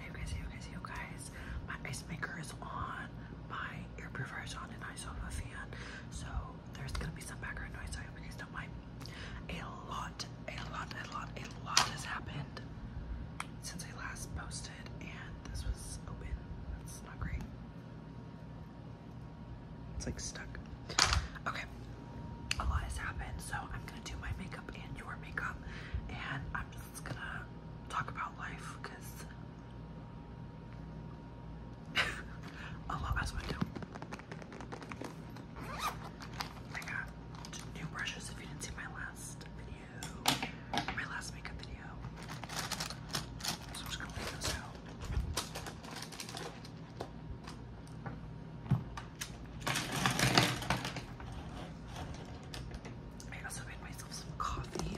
Hey guys, you guys, you guys. My ice maker is on, my air purifier is on, and I still have a fan. So there's gonna be some background noise, I hope you guys don't mind. A lot, a lot, a lot, a lot has happened since I last posted, and this was open. That's not great. It's like stuck. Okay, a lot has happened, so I'm gonna do my makeup and your makeup, and I'm just that's gonna talk about life because a lot that's what I I got new brushes if you didn't see my last video, my last makeup video. So I'm just gonna leave those out. I also made myself some coffee.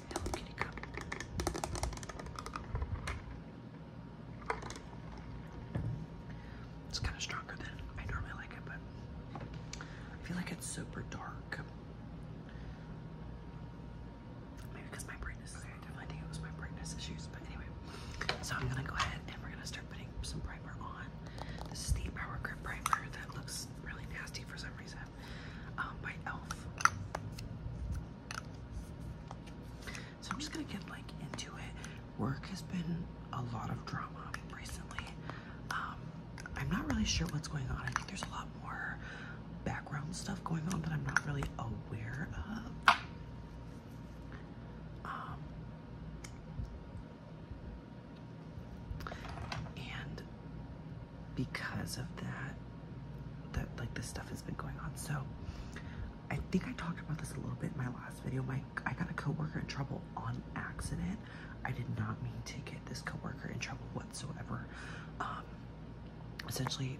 Hello Cup. It's kind of stronger than I normally like it, but I feel like it's super dark. Maybe because my brightness. I think it was my brightness issues, but anyway. So I'm gonna go ahead and we're gonna start putting some this is the Power Grip Primer that looks really nasty for some reason um, by e.l.f. So I'm just gonna get like into it. Work has been a lot of drama recently. Um, I'm not really sure what's going on. I think there's a lot more background stuff going on that I'm not really aware of. Um, and because of that, that like this stuff has been going on. So I think I talked about this a little bit in my last video. My I got a coworker in trouble on accident. I did not mean to get this coworker in trouble whatsoever. Um, essentially,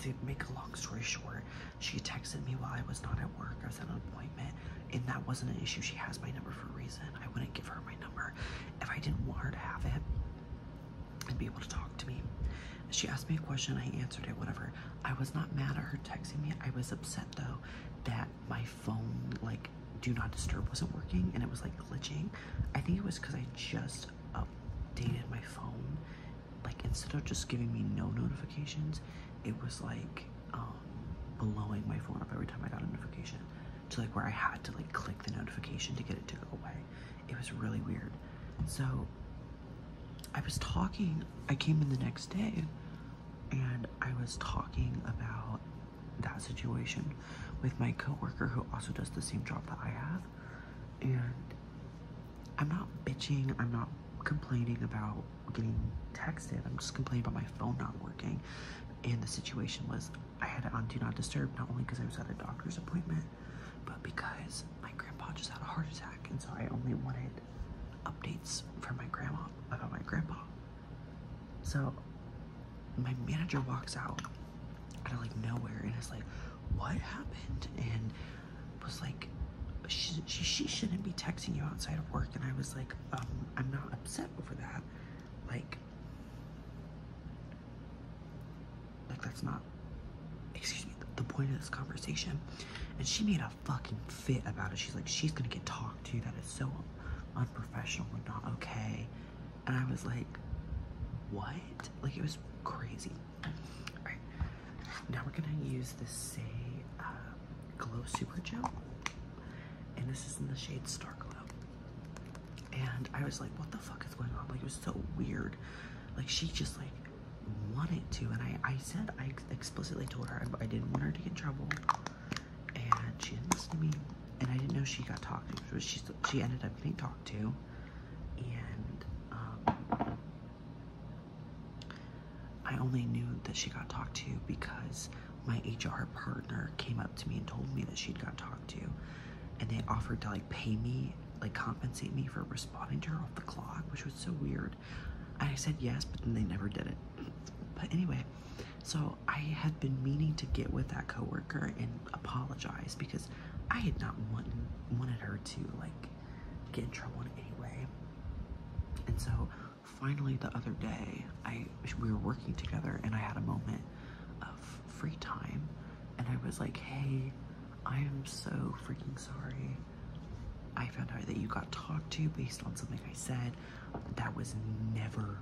to make a long story short, she texted me while I was not at work. I was at an appointment and that wasn't an issue. She has my number for a reason. I wouldn't give her my number if I didn't want her to have it and be able to talk to me. She asked me a question, I answered it, whatever. I was not mad at her texting me. I was upset though that my phone, like, do not disturb wasn't working and it was like glitching. I think it was because I just updated my phone. Like, instead of just giving me no notifications, it was like um, blowing my phone up every time I got a notification to like where I had to like click the notification to get it to go away. It was really weird. So I was talking, I came in the next day and I was talking about that situation with my coworker who also does the same job that I have. And I'm not bitching, I'm not complaining about getting texted. I'm just complaining about my phone not working. And the situation was I had it on Do Not Disturb, not only because I was at a doctor's appointment, but because my grandpa just had a heart attack. And so I only wanted updates from my grandma about my grandpa. So my manager walks out out of like nowhere and is like, what happened? And was like, she, she, she shouldn't be texting you outside of work. And I was like, um, I'm not upset over that. Like, like that's not, excuse me, the, point of this conversation. And she made a fucking fit about it. She's like, she's gonna get talked to. That is so unprofessional and not okay. And I was like, what? Like, it was crazy. All right, now we're gonna use the same, uh, Glow Super Gel. And this is in the shade Star Glow. And I was like, what the fuck is going on? Like, it was so weird. Like, she just, like, wanted to. And I, I said, I explicitly told her I, didn't want her to get in trouble. And she didn't listen to me. And I didn't know she got talked to. But she, she ended up being talked to. And, um, I only knew that she got talked to because my HR partner came up to me and told me that she'd got talked to, and they offered to like pay me, like compensate me for responding to her off the clock, which was so weird. And I said yes, but then they never did it. But anyway, so I had been meaning to get with that coworker and apologize because I had not want, wanted her to like get in trouble in any way. And so finally the other day i we were working together and i had a moment of free time and i was like hey i am so freaking sorry i found out that you got talked to based on something i said that was never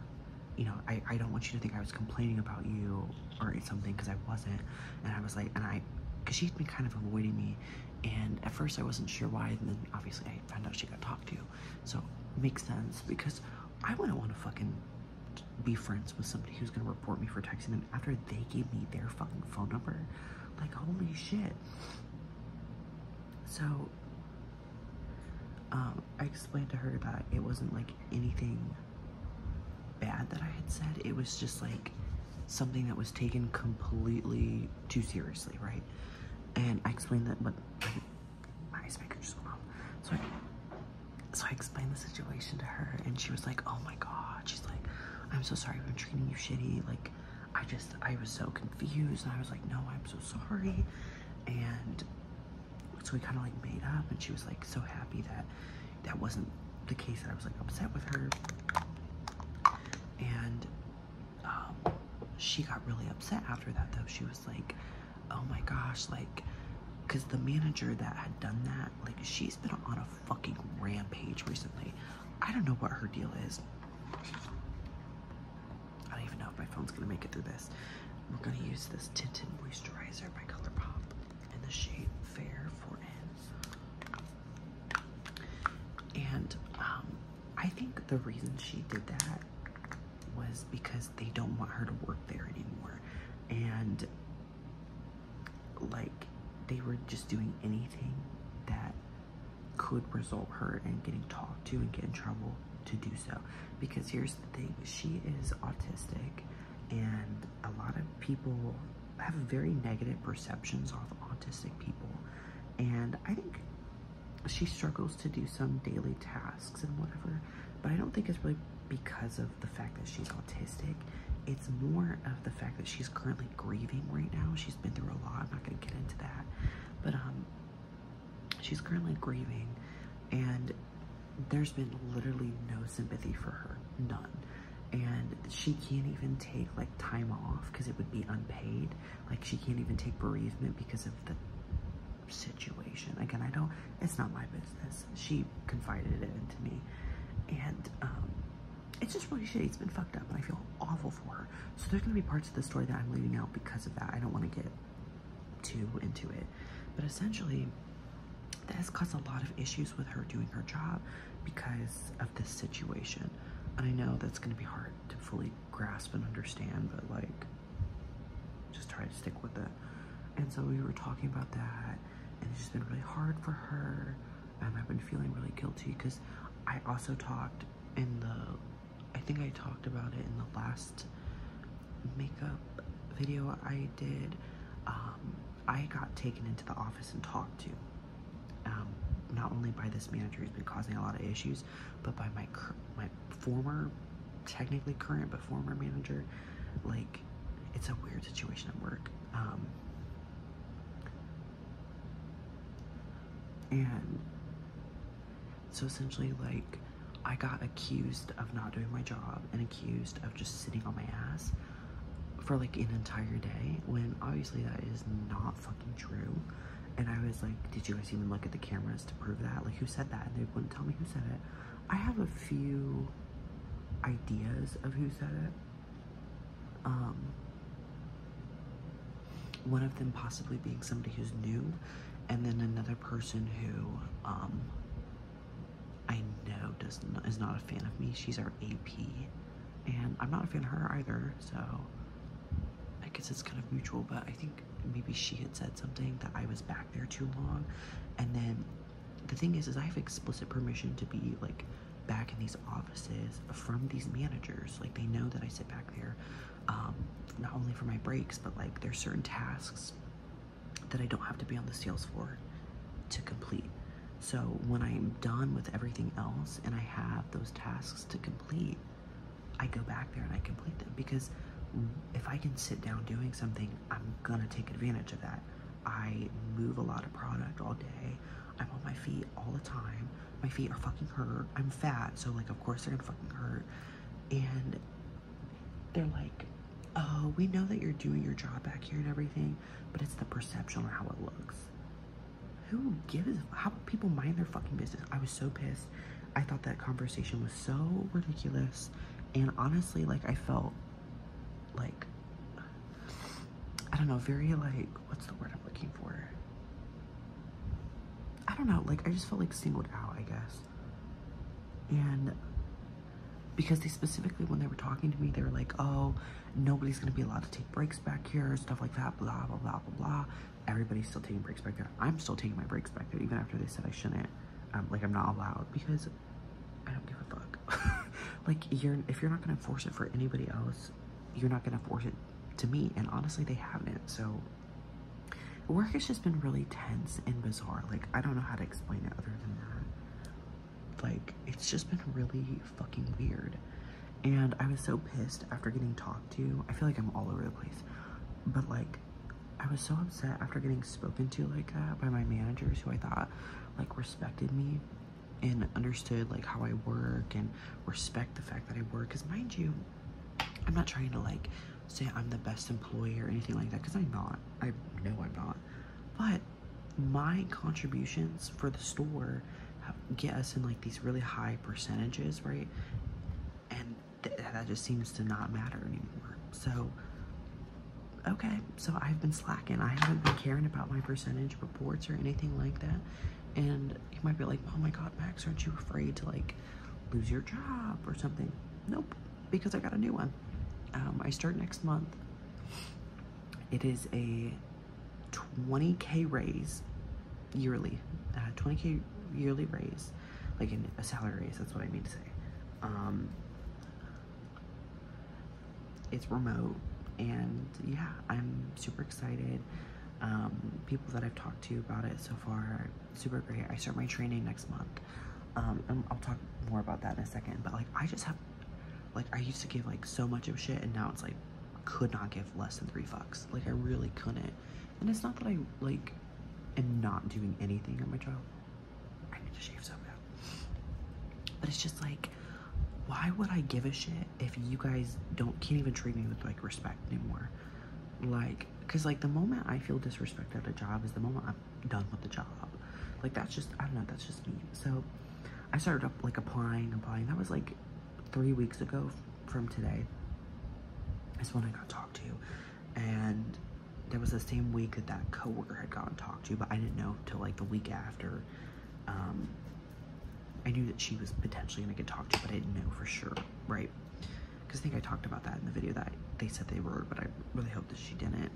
you know i, I don't want you to think i was complaining about you or something because i wasn't and i was like and i because she has been kind of avoiding me and at first i wasn't sure why and then obviously i found out she got talked to you." So it makes sense because I wouldn't want to fucking be friends with somebody who's gonna report me for texting them after they gave me their fucking phone number. Like holy shit. So um, I explained to her that it wasn't like anything bad that I had said. It was just like something that was taken completely too seriously, right? And I explained that what my ice maker just went off. So I, so I explained the situation to her, and she was like, "Oh my god!" She's like, "I'm so sorry. I've been treating you shitty. Like, I just I was so confused." And I was like, "No, I'm so sorry." And so we kind of like made up, and she was like so happy that that wasn't the case that I was like upset with her. And um, she got really upset after that though. She was like, oh my gosh, like, because the manager that had done that, like, she's been on a fucking rampage recently. I don't know what her deal is. I don't even know if my phone's gonna make it through this. We're gonna use this tinted moisturizer by ColourPop in the shade Fair for n And um, I think the reason she did that was because they don't want her to work there anymore. And like they were just doing anything that could result her in getting talked to and get in trouble to do so. Because here's the thing, she is autistic and a lot of people have very negative perceptions of autistic people. And I think she struggles to do some daily tasks and whatever, but I don't think it's really because of the fact that she's autistic. It's more of the fact that she's currently grieving right now. She's been through a lot. I'm not going to get into that. But um, she's currently grieving, and there's been literally no sympathy for her. None. And she can't even take like time off because it would be unpaid. Like she can't even take bereavement because of the situation. Again, I don't, it's not my business. She confided it into me. And um, it's just really shitty. It's been fucked up and I feel awful for her. So there's going to be parts of the story that I'm leaving out because of that. I don't want to get too into it. But essentially, that has caused a lot of issues with her doing her job because of this situation. And I know that's going to be hard to fully grasp and understand, but like just try to stick with it. And so we were talking about that, and it's been really hard for her. And um, I've been feeling really guilty because I also talked in the, I think I talked about it in the last makeup video I did. Um, I got taken into the office and talked to. Um, not only by this manager who's been causing a lot of issues, but by my my former, technically current but former manager, like it's a weird situation at work. Um, and so essentially, like I got accused of not doing my job and accused of just sitting on my ass for like an entire day when obviously that is not fucking true. And I was like, did you guys even look at the cameras to prove that? Like, who said that? And they wouldn't tell me who said it. I have a few ideas of who said it. Um, one of them possibly being somebody who's new, and then another person who um, I know does not, is not a fan of me. She's our AP, and I'm not a fan of her either. So I guess it's kind of mutual, but I think maybe she had said something that I was back there too long. And then the thing is, is I have explicit permission to be like back in these offices from these managers. Like they know that I sit back there, um, not only for my breaks, but like there's certain tasks that I don't have to be on the sales floor to complete. So when I'm done with everything else and I have those tasks to complete, I go back there and I complete them because if I can sit down doing something, I'm gonna take advantage of that. I move a lot of product all day. I'm on my feet all the time. My feet are fucking hurt. I'm fat, so like, of course, they're gonna fucking hurt. And they're like, oh, we know that you're doing your job back here and everything, but it's the perception or how it looks. Who gives? How people mind their fucking business? I was so pissed. I thought that conversation was so ridiculous. And honestly, like, I felt like, I don't know, very like, what's the word I'm looking for? I don't know, like, I just felt like singled out, I guess. And because they specifically, when they were talking to me, they were like, oh, nobody's gonna be allowed to take breaks back here, stuff like that, blah, blah, blah, blah, blah everybody's still taking breaks back there. I'm still taking my breaks back there, even after they said I shouldn't. Um, like, I'm not allowed because I don't give a fuck. like, you're if you're not gonna force it for anybody else, you're not gonna force it to me. And honestly, they haven't. So, work has just been really tense and bizarre. Like, I don't know how to explain it other than that. Like, it's just been really fucking weird. And I was so pissed after getting talked I feel like I'm all over the place. But like I was so upset after getting spoken to like that by my managers who I thought like respected me and understood like how I work and respect the fact that I work. Cause mind you, I'm not trying to like say I'm the best employee or anything like that. Cause I'm not, I know I'm not. But my contributions for the store get us in like these really high percentages, right? And that just seems to not matter anymore. So, okay, so I've been slacking. I haven't been caring about my percentage reports or anything like that. And you might be like, oh my God, Max, aren't you afraid to like lose your job or something? Nope, because I got a new one. Um, I start next month. It is a 20K raise yearly, 20K uh, yearly raise like in a salary raise, that's what I mean to say. Um, it's remote, and yeah, I'm super excited. Um, people that I've talked to about it so far, super great. I start my training next month, um, I'll talk more about that in a second, but like, I just have, like, I used to give like so much of shit, and now it's like, could not give less than three fucks. Like, I really couldn't. And it's not that I like am not doing anything on my job. I need to shave so bad. But it's just like, why would I give a shit if you guys don't can't even treat me with like respect anymore? Like, cause like the moment I feel disrespected at a job is the moment I'm done with the job. Like that's just I don't know, that's just me. So I started up like applying, applying. That was like three weeks ago from today is when I got talked to. And there was the same week that that coworker had gotten talked to, but I didn't know until like the week after. Um, I knew that she was potentially gonna get talked to, but I didn't know for sure, right? Because I think I talked about that in the video that they said they were. but I really hope that she didn't.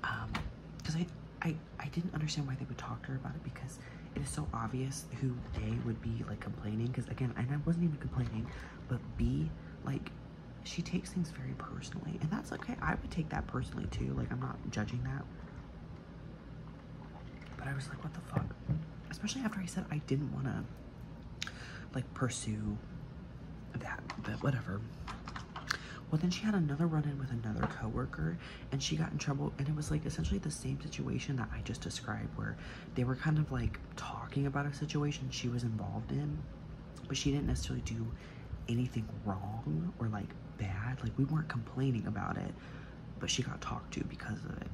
Because um, I, I, I didn't understand why they would talk to her about it because it is so obvious who they would be like complaining. Because again, I wasn't even complaining but B, like, she takes things very personally, and that's okay. I would take that personally too. Like, I'm not judging that. But I was like, what the fuck? Especially after I said I didn't want to, like, pursue that, but whatever. Well, then she had another run-in with another coworker, and she got in trouble, and it was, like, essentially the same situation that I just described, where they were kind of, like, talking about a situation she was involved in, but she didn't necessarily do anything wrong or like bad. Like we weren't complaining about it, but she got talked to because of it.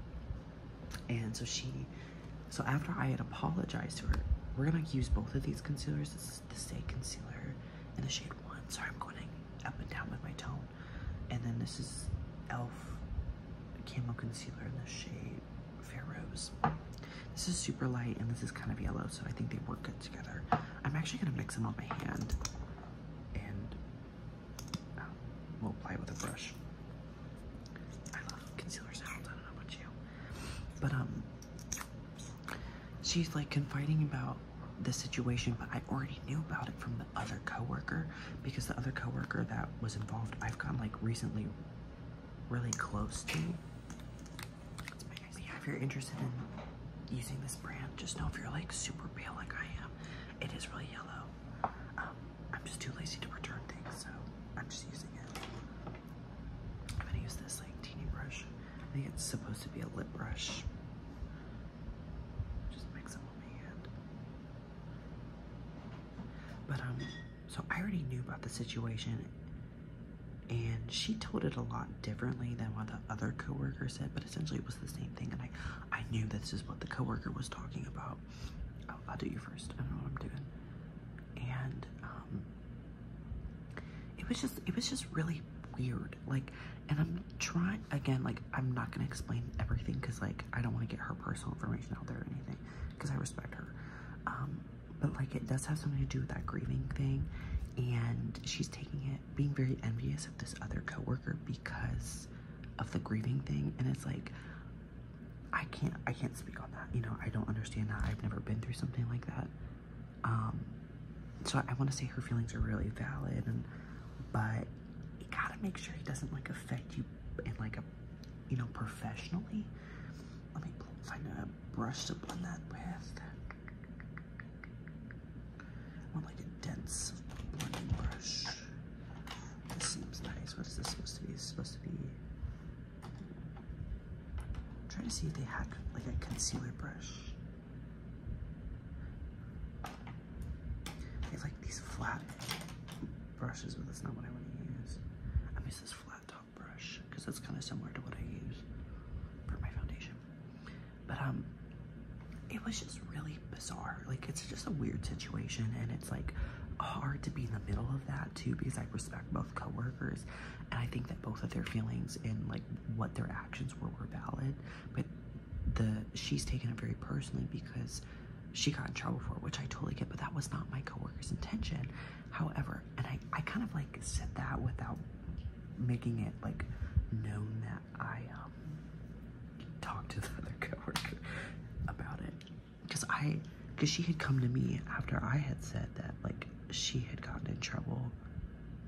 And so she, so after I had apologized to her, we're gonna use both of these concealers. This is the Stay Concealer and the shade one. So I'm going up and down with my tone. And then this is e.l.f. Camo Concealer in the shade Fair Rose. This is super light and this is kind of yellow, so I think they work good together. I'm actually gonna mix them on my hand and um, we'll apply it with a brush. I love concealer I don't know about you. But um she's like confiding about the situation, but I already knew about it from the other coworker because the other coworker that was involved, I've gotten like recently really close to you. Yeah, if you're interested in using this brand, just know if you're like super pale like I am, it is really yellow. Um, I'm just too lazy to return things, so I'm just using it. I'm gonna use this like teeny brush. I think it's supposed to be a lip brush. Just mix it with my hand. But um so I already knew about the situation, and she told it a lot differently than what the other coworker said, but essentially it was the same thing. And I, I knew this is what the coworker was talking about. Oh, I'll do you first. I don't know what I'm doing. And um, it was just, it was just really weird. Like, and I'm trying again. Like, I'm not gonna explain everything because like I don't want to get her personal information out there or anything because I respect her. Um, but like it does have something to do with that grieving thing, and she's taking it, being very envious of this other coworker because of the grieving thing, and it's like I can't, I can't speak on that. You know, I don't understand that. I've never been through something like that. Um, so I, I want to say her feelings are really valid, and but you gotta make sure it doesn't like affect you in like a you know, professionally. Let me find a brush to blend that with. I like a dense blending brush. This seems nice. What is this supposed to be? It's supposed to be. trying to see if they had like a concealer brush. They like these flat brushes, but that's not what I want to use. I'm this flat top brush because it's kind of similar to what I use for my foundation. But um, it was just really bizarre. Like it's just a weird situation, and it's like hard to be in the middle of that too because I respect both coworkers, and I think that both of their feelings and like what their actions were were valid. But the she's taken it very personally because she got in trouble for, which I totally get, but that was not my coworker's intention. However, and I, I kind of like said that without making it like known that I um, talked to the other coworker about it. Because I, because she had come to me after I had said that like she had gotten in trouble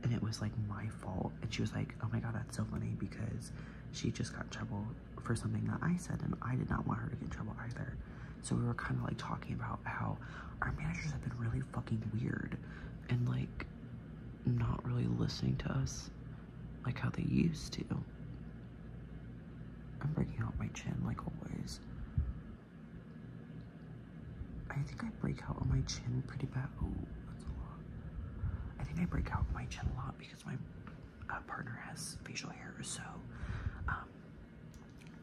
and it was like my fault. And she was like, oh my God, that's so funny because she just got in trouble for something that I said, and I did not want her to get in trouble either. So we were kind of like talking about how our managers have been really fucking weird and like not really listening to us like how they used to. I'm breaking out my chin like always. I think I break out on my chin pretty bad. Oh, that's a lot. I think I break out my chin a lot because my uh, partner has facial hair, so um,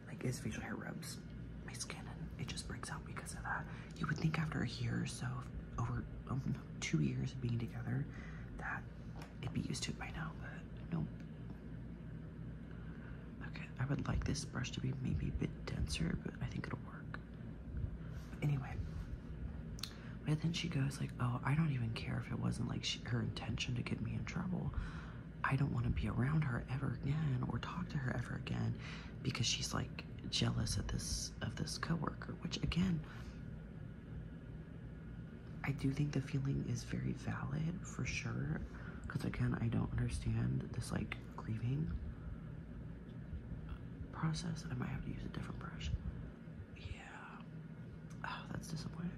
like his facial hair rubs my skin and it just breaks out because of that. You would think after a year or so, over um, two years of being together, that it'd be used to it by now, but nope. Okay, I would like this brush to be maybe a bit denser, but I think it'll work. anyway, but then she goes like, "Oh, I don't even care if it wasn't like her intention to get me in trouble. I don't want to be around her ever again or talk to her ever again because she's like jealous of this of this coworker, which again I do think the feeling is very valid for sure because again, I don't understand this like grieving process. I might have to use a different brush. Yeah. Oh, that's disappointing.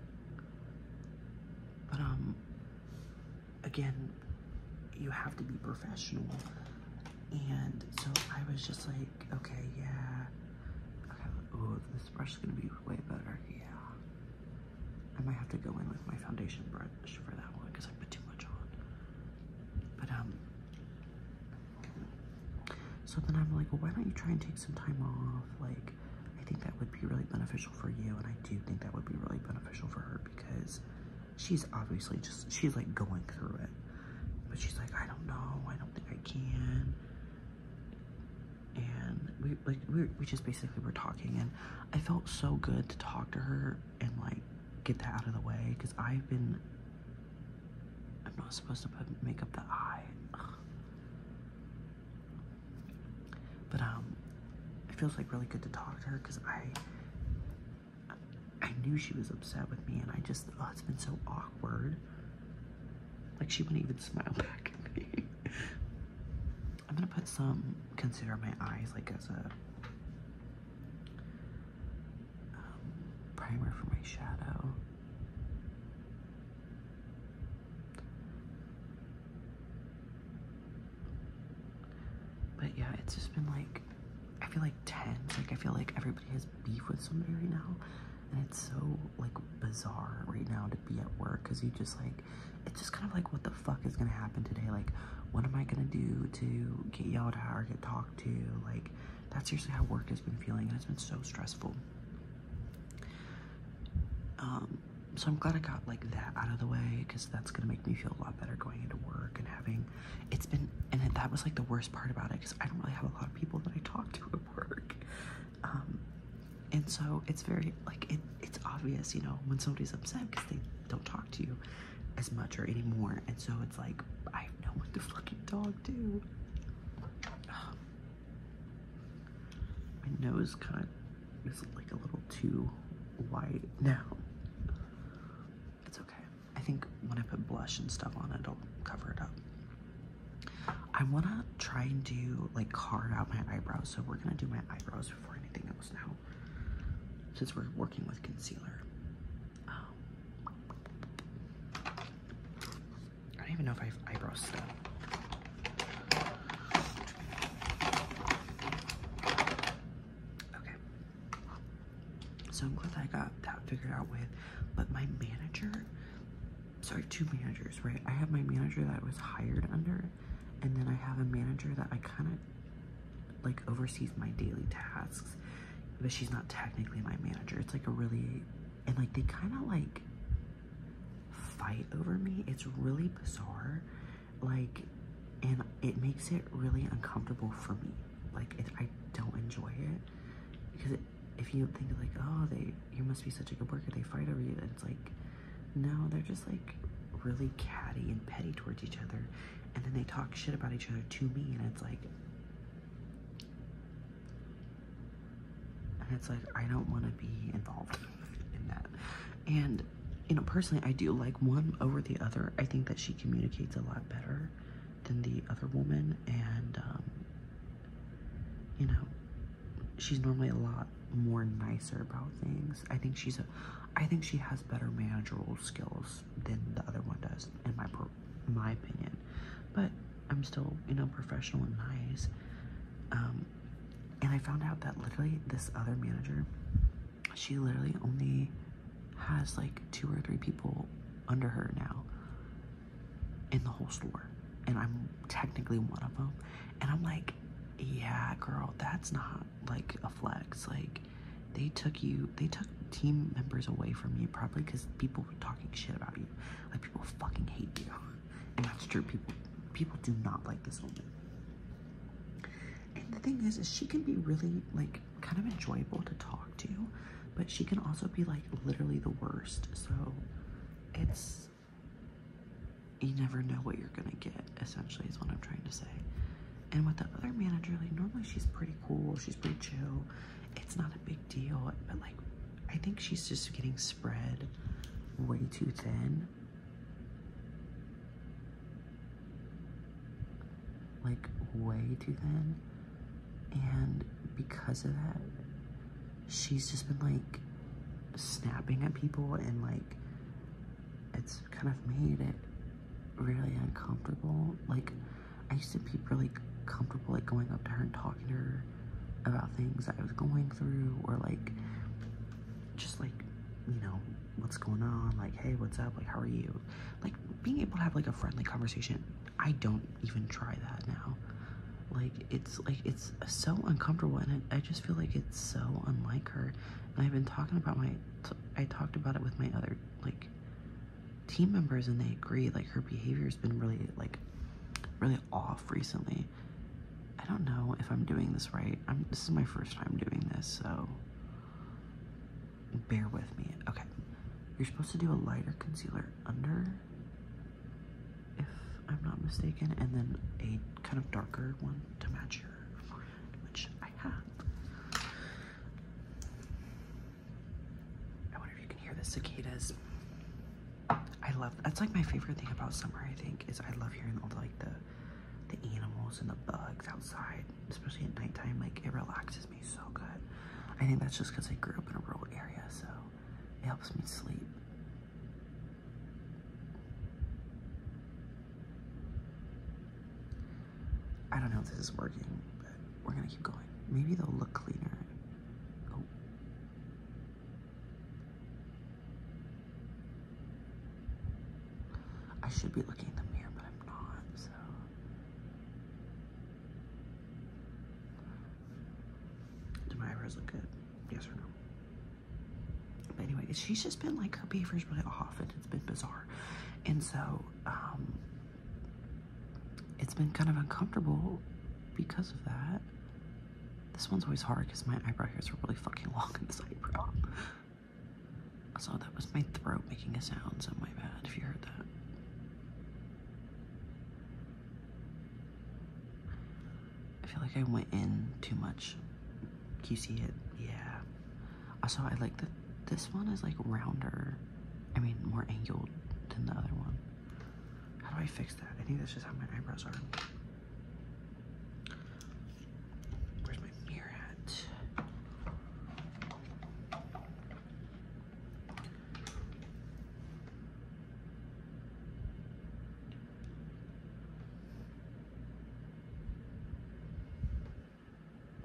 But, um, again, you have to be professional. And so I was just like, okay, yeah. oh, this brush is going to be way better. Yeah. I might have to go in with my foundation brush for that one because I put too much on. But, um, so then I'm like, why don't you try and take some time off? Like, I think that would be really beneficial for you, and I do think that would be really beneficial for her because she's obviously just she's like going through it, but she's like, I don't know, I don't think I can. And we like we we just basically were talking, and I felt so good to talk to her and like get that out of the way because I've been. I'm not supposed to make up the eye. But um, it feels like really good to talk to her because I, I knew she was upset with me, and I just oh, it's been so awkward. Like she wouldn't even smile back at me. I'm gonna put some concealer on my eyes, like as a um, primer for my shadow. But yeah, it's just been like, I feel like tense. Like, I feel like everybody has beef with somebody right now. And it's so, like, bizarre right now to be at work because you just, like, it's just kind of like, what the fuck is going to happen today? Like, what am I going to do to get yelled at or get talked to? Like, that's usually how work has been feeling. And it's been so stressful. Um, so I'm glad I got like that out of the way because that's gonna make me feel a lot better going into work and having. It's been and that was like the worst part about it because I don't really have a lot of people that I talk to at work, um, and so it's very like it. It's obvious, you know, when somebody's upset because they don't talk to you as much or anymore, and so it's like I have no one to fucking dog do. My nose kind of is like a little too white now. It's okay. I think when I put blush and stuff on it, will cover it up. I want to try and do, like, carve out my eyebrows, so we're going to do my eyebrows before anything else now, since we're working with concealer. Um, I don't even know if I have eyebrows still. Okay. So I'm glad I got that figured out with, but my manager, sorry, two managers, right? I have my manager that was hired under, and then I have a manager that I kind of like oversees my daily tasks, but she's not technically my manager. It's like a really, and like they kind of like fight over me. It's really bizarre. Like, and it makes it really uncomfortable for me. Like, I don't enjoy it because if you think like, oh, they you must be such a good worker, they fight over you. And it's like, no, they're just like really catty and petty towards each other, and then they talk shit about each other to me, and it's like, and it's like, I don't want to be involved in that. And, you know, personally, I do like one over the other. I think that she communicates a lot better than the other woman. And, um, you know, she's normally a lot more nicer about things. I think she's a, I think she has better managerial skills than the other one does, in my per, my opinion. But I'm still, you know, professional and nice. Um, and I found out that literally this other manager, she literally only has like two or three people under her now in the whole store. And I'm technically one of them. And I'm like, yeah, girl, that's not like a flex. Like, they took you, they took team members away from you probably because people were talking shit about you. Like, people fucking hate you. That's true. People people do not like this woman. And the thing is, is she can be really like kind of enjoyable to talk to, but she can also be like literally the worst. So it's you never know what you're gonna get, essentially, is what I'm trying to say. And with the other manager, like normally she's pretty cool, she's pretty chill. It's not a big deal, but like I think she's just getting spread way too thin. Like, way too thin. And because of that, she's just been like snapping at people and like it's kind of made it really uncomfortable. Like, I used to be really comfortable like going up to her and talking to her about things that I was going through or like just like you know what's going on like hey what's up like how are you like being able to have like a friendly conversation I don't even try that now like it's like it's so uncomfortable and I, I just feel like it's so unlike her and I've been talking about my I talked about it with my other like team members and they agree like her behavior's been really like really off recently I don't know if I'm doing this right. I'm, this is my first time doing this, so bear with me. Okay, you're supposed to do a lighter concealer under, if I'm not mistaken, and then a kind of darker one to match your forehead, which I have. I wonder if you can hear the cicadas. I love that's like my favorite thing about summer. I think is I love hearing all the, like the the animals and the bugs outside, especially at nighttime. Like it relaxes me so good. I think that's just because I grew up in a rural area, so it helps me sleep. I don't know if this is working, but we're gonna keep going. Maybe they'll look cleaner. Oh. I should be looking in the mirror, but I'm not, so. Do my eyebrows look good? Yes or no? But anyway, she's just been like, her behavior's really off and it's been bizarre. And so, um, it's been kind of uncomfortable because of that. This one's always hard because my eyebrow hairs are really fucking long in this eyebrow. So that was my throat making a sound, so my bad if you heard that. I feel like I went in too much. you see it? Yeah. Also, I like that this one is like rounder. I mean, more angled than the other one. How do I fix that? I think that's just how my eyebrows are. Where's my mirror at?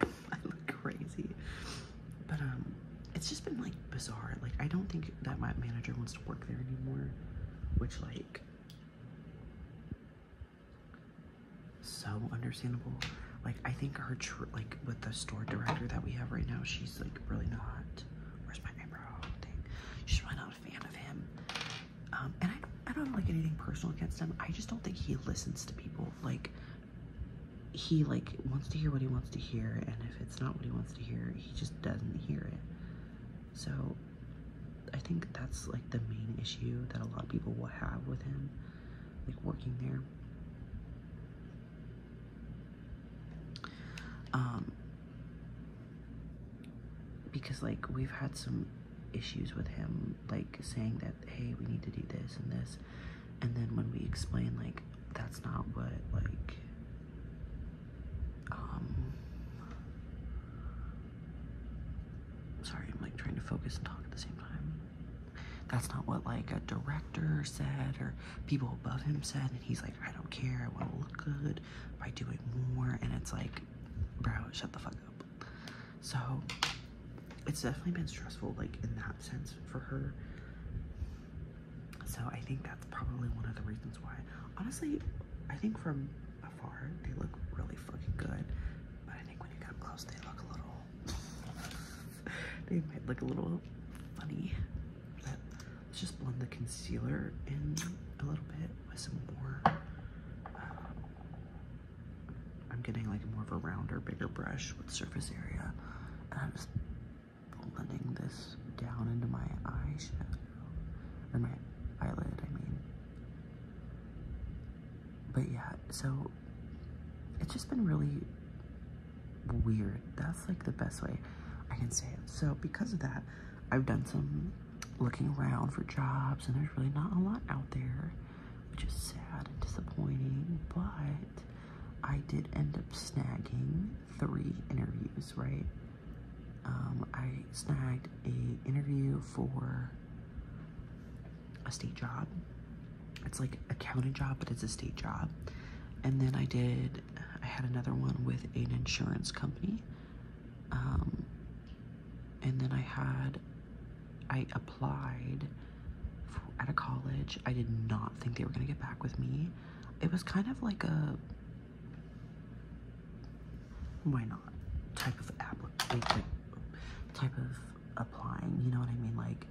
I look crazy. But um it's just been like bizarre. Like I don't think that my manager wants to work there anymore. Which like so understandable. Like I think her like with the store director that we have right now, she's like really not. Where's my eyebrow? Dang, she's really not a fan of him. Um, and I I don't like anything personal against him. I just don't think he listens to people. Like he like wants to hear what he wants to hear, and if it's not what he wants to hear, he just doesn't hear it. So I think that's like the main issue that a lot of people will have with him, like working there. Um, because like we've had some issues with him, like saying that hey, we need to do this and this, and then when we explain like that's not what like um, sorry, I'm like trying to focus and talk at the same time. That's not what like a director said or people above him said, and he's like, I don't care, I want to look good by doing more, and it's like, bro, shut the fuck up. So it's definitely been stressful, like in that sense for her. So I think that's probably one of the reasons why. Honestly, I think from afar, they look really fucking good. But I think when you get close, they look a little. they might look a little funny. let's just blend the concealer in a little bit with some more. Um, I'm getting like more of a rounder, bigger brush with surface area. And I'm just blending this down into my eyeshadow or my eyelid, I mean. But yeah, so it's just been really weird. That's like the best way I can say it. So because of that, I've done some looking around for jobs and there's really not a lot out there, which is sad and disappointing, but I did end up snagging three interviews, right? Um, I snagged a interview for a state job. It's like a county job, but it's a state job. And then I did, I had another one with an insurance company. Um, and then I had, I applied at a college. I did not think they were going to get back with me. It was kind of like a why not type of application, type of applying, you know what I mean? Like,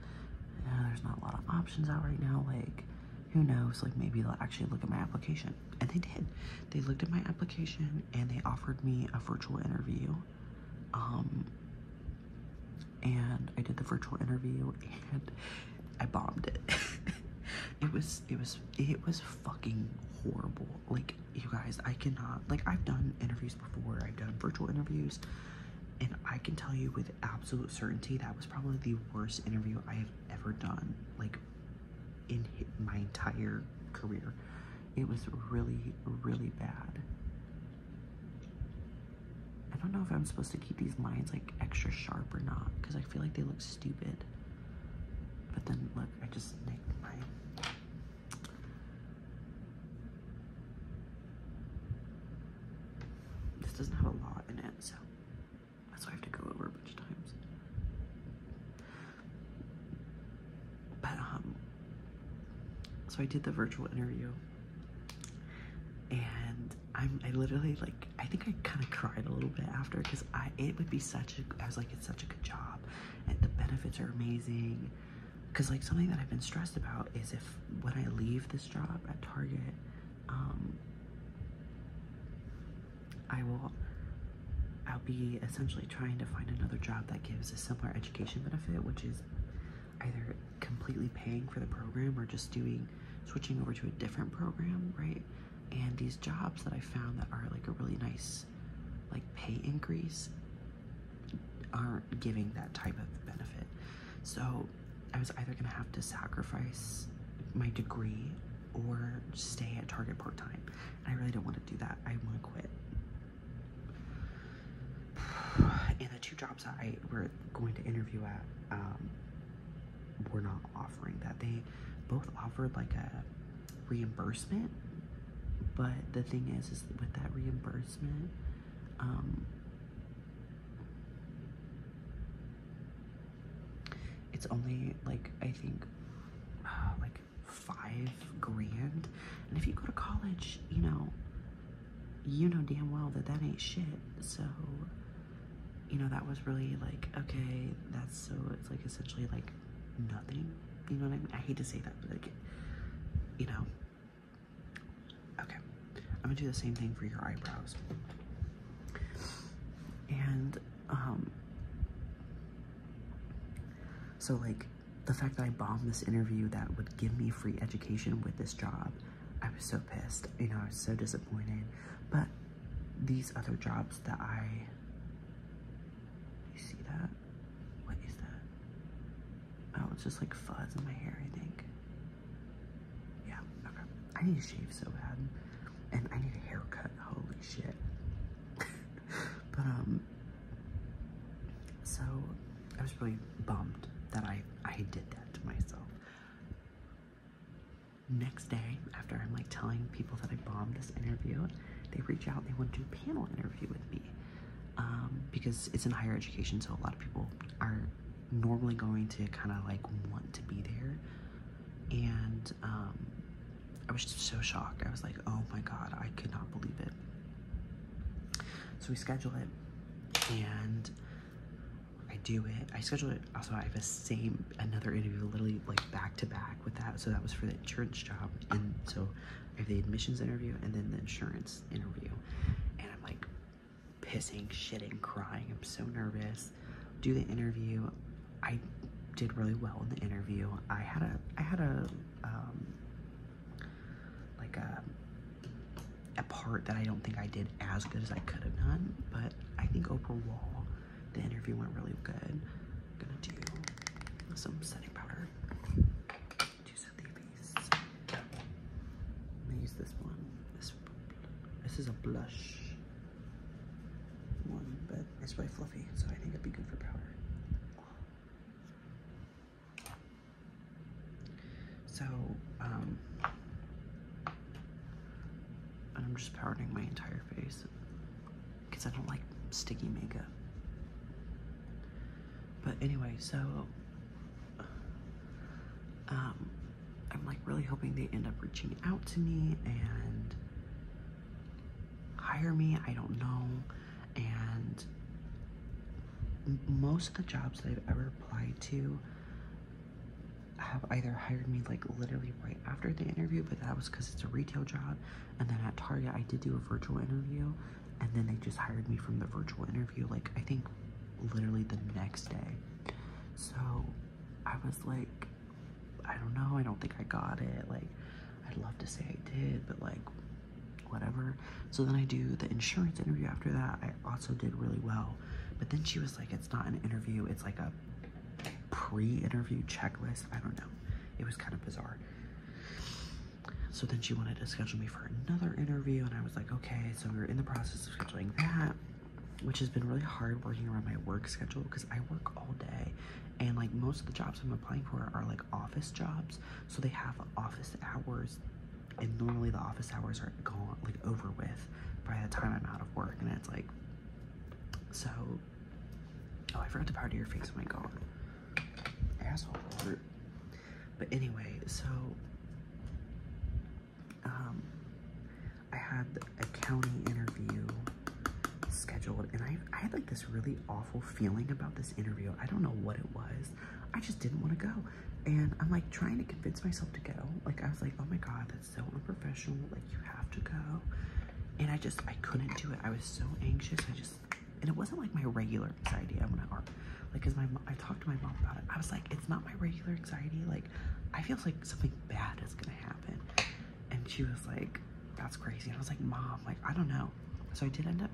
there's not a lot of options out right now. Like, who knows? Like, maybe they'll actually look at my application. And they did. They looked at my application and they offered me a virtual interview. Um, and I did the virtual interview and I bombed it. it was it was it was fucking horrible. Like you guys, I cannot like I've done interviews before. I've done virtual interviews and I can tell you with absolute certainty that was probably the worst interview I have ever done like in my entire career. It was really really bad. I don't know if I'm supposed to keep these lines like extra sharp or not because I feel like they look stupid. But then look, I just nicked my this doesn't have a lot in it, so that's why I have to go over a bunch of times. But um so I did the virtual interview and I'm I literally like I think I kind of cried a little bit after because I it would be such a I was like such a good job and the benefits are amazing because like something that i've been stressed about is if when i leave this job at target um, i will i'll be essentially trying to find another job that gives a similar education benefit which is either completely paying for the program or just doing switching over to a different program right and these jobs that I found that are like a really nice like pay increase aren't giving that type of benefit. So I was either gonna have to sacrifice my degree or stay at Target part time. And I really don't want to do that. I want to quit. And the two jobs I were going to interview at um, were not offering that. They both offered like a reimbursement. But the thing is, is with that reimbursement, um, it's only like I think uh, like five grand. And if you go to college, you know, you know damn well that that ain't shit. So, you know, that was really like, okay, that's so it's like essentially like nothing. You know what I mean? I hate to say that, but like, you know. Okay, I'm gonna do the same thing for your eyebrows. And, um, so like, the fact that I bombed this interview that would give me free education with this job, I was so pissed. You know, I was so disappointed. But these other jobs that I you see that? What is that? Oh, it's just like fuzz in my hair, I think. Yeah, okay. I need to shave so bad. And I need a haircut, holy shit. but, um, so I was really bummed that I, I did that to myself. Next day, after I'm like telling people that I bombed this interview, they reach out, they want to do panel interview with me um, because it's in higher education, so a lot of people are normally going to kind of like want to be there. And um, I was just so shocked. I was like, oh my God, I could not believe it. So we schedule it and I do it. I schedule it. Also, I have a same, another interview literally like back to back with that. So that was for the insurance job. And so I have the admissions interview and then the insurance interview. And I'm like pissing, shitting, crying. I'm so nervous. Do the interview. I did really well in the interview. I had a, I had a, um, like a, a part that I don't think I did as good as I could have done, but I think Oprah Wall the interview went really good. I'm gonna do some setting powder to set the gonna use this one. This, is a blush one, but it's really fluffy, so I think it'd be good for powder. So, um, I'm just powdering my entire face because I don't like sticky makeup. But anyway, so um, I'm like really hoping they end up reaching out to me and hire me. I don't know. And most of the jobs that I've ever applied to have either hired me like literally right after the interview, but that was because it's a retail job. And then at Target, I did do a virtual interview, and then they just hired me from the virtual interview, like, I think literally the next day. So I was like, I don't know, I don't think I got it. Like, I'd love to say I did, but like, whatever. So then I do the insurance interview after that. I also did really well. But then she was like, it's not an interview, it's like a pre-interview checklist. I don't know. It was kind of bizarre. So then she wanted to schedule me for another interview, and I was like, okay, so we are in the process of scheduling that, which has been really hard working around my work schedule because I work all day. And like most of the jobs I'm applying for are like office jobs, so they have office hours, and normally the office hours are gone, like over with by the time I'm out of work, and it's like, so Oh, I forgot to powder your face. Oh my god. Asshole. But anyway, so um I had a county interview scheduled and I I had like this really awful feeling about this interview. I don't know what it was. I just didn't want to go. And I'm like trying to convince myself to go. Like I was like, oh my god, that's so unprofessional. Like you have to go and I just I couldn't do it. I was so anxious. I just and it wasn't like my regular anxiety. I want to like because my I talked to my mom about it. I was like, it's not my regular anxiety. Like I feel like something bad is gonna happen, and she was like, that's crazy. And I was like, mom, like I don't know. So I did end up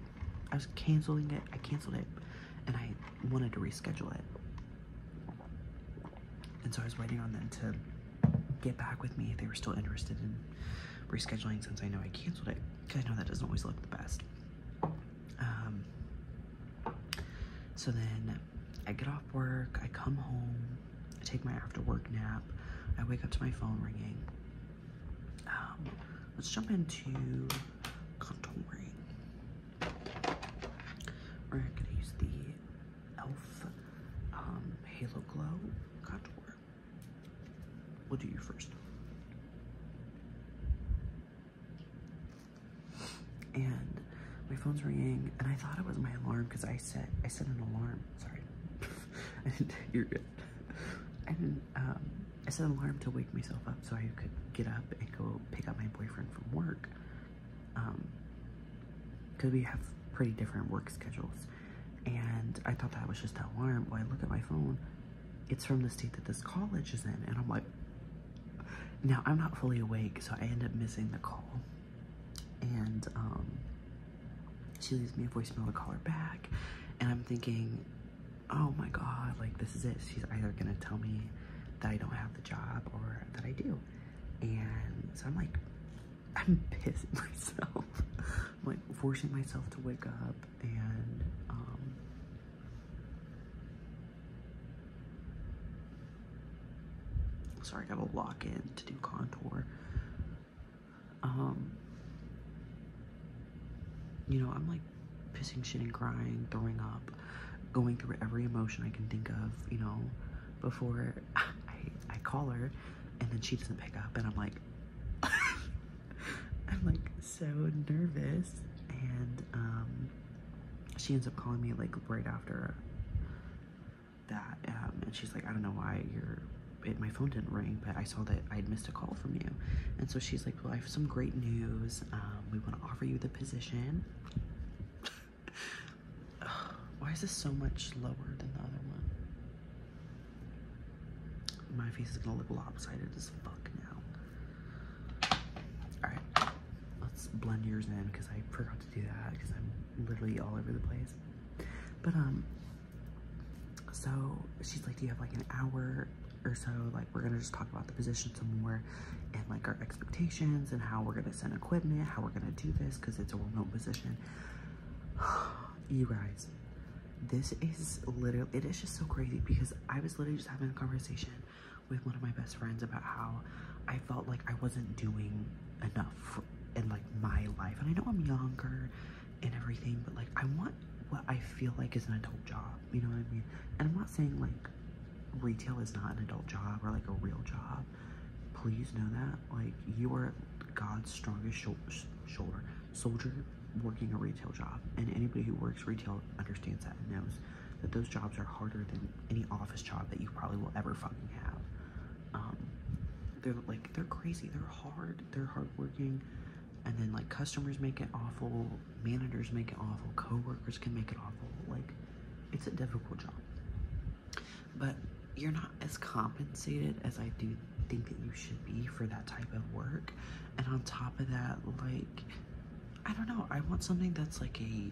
I was canceling it. I canceled it, and I wanted to reschedule it. And so I was waiting on them to get back with me if they were still interested in rescheduling since I know I canceled it because I know that doesn't always look the best. Um, so then I get off work, I come home, I take my after work nap, I wake up to my phone ringing. Um, let's jump into contouring. We're gonna use the e.l.f. Um, Halo Glow contour. We'll do you first. And my phone's ringing, and I thought it was my alarm because I set I set an alarm. Sorry, I didn't. You're good. I did um, set an alarm to wake myself up so I could get up and go pick up my boyfriend from work. Um, because we have pretty different work schedules and I thought that was just that alarm. When I look at my phone, it's from the state that this college is in, and I'm like, now I'm not fully awake, so I end up missing the call, and um, she leaves me a voicemail to call her back, and I'm thinking, oh my god, like this is it. She's either gonna tell me that I don't have the job or that I do, and so I'm like I'm pissing myself. I'm like forcing myself to wake up and um sorry, I gotta lock in to do contour. Um you know, I'm like pissing shit and crying, throwing up, going through every emotion I can think of, you know, before I, I call her and then she doesn't pick up and I'm like I'm like so nervous and um she ends up calling me like right after that um, and she's like I don't know why you're my phone didn't ring but I saw that I would missed a call from you and so she's like well I have some great news um, we want to offer you the position why is this so much lower than the other one my face is gonna look lopsided as fuck now. Alright, let's blend yours in because I forgot to do that because I'm literally all over the place. But, um, so she's like, Do you have like an hour or so? Like, we're gonna just talk about the position some more and like our expectations and how we're gonna send equipment, how we're gonna do this because it's a remote position. you guys, this is literally, it is just so crazy because I was literally just having a conversation with one of my best friends about how I felt like I wasn't doing enough in like my life. And I know I'm younger and everything, but like I want what I feel like is an adult job. You know what I mean? And I'm not saying like retail is not an adult job or like a real job. Please know that. Like you are God's strongest shoulder, soldier working a retail job, and anybody who works retail understands that and knows that those jobs are harder than any office job that you probably will ever fucking have. Um, they're like they're crazy. They're hard. They're hardworking, and then like customers make it awful, managers make it awful, coworkers can make it awful. Like it's a difficult job. But you're not as compensated as I do think that you should be for that type of work. And on top of that, like, I don't know, I want something that's like a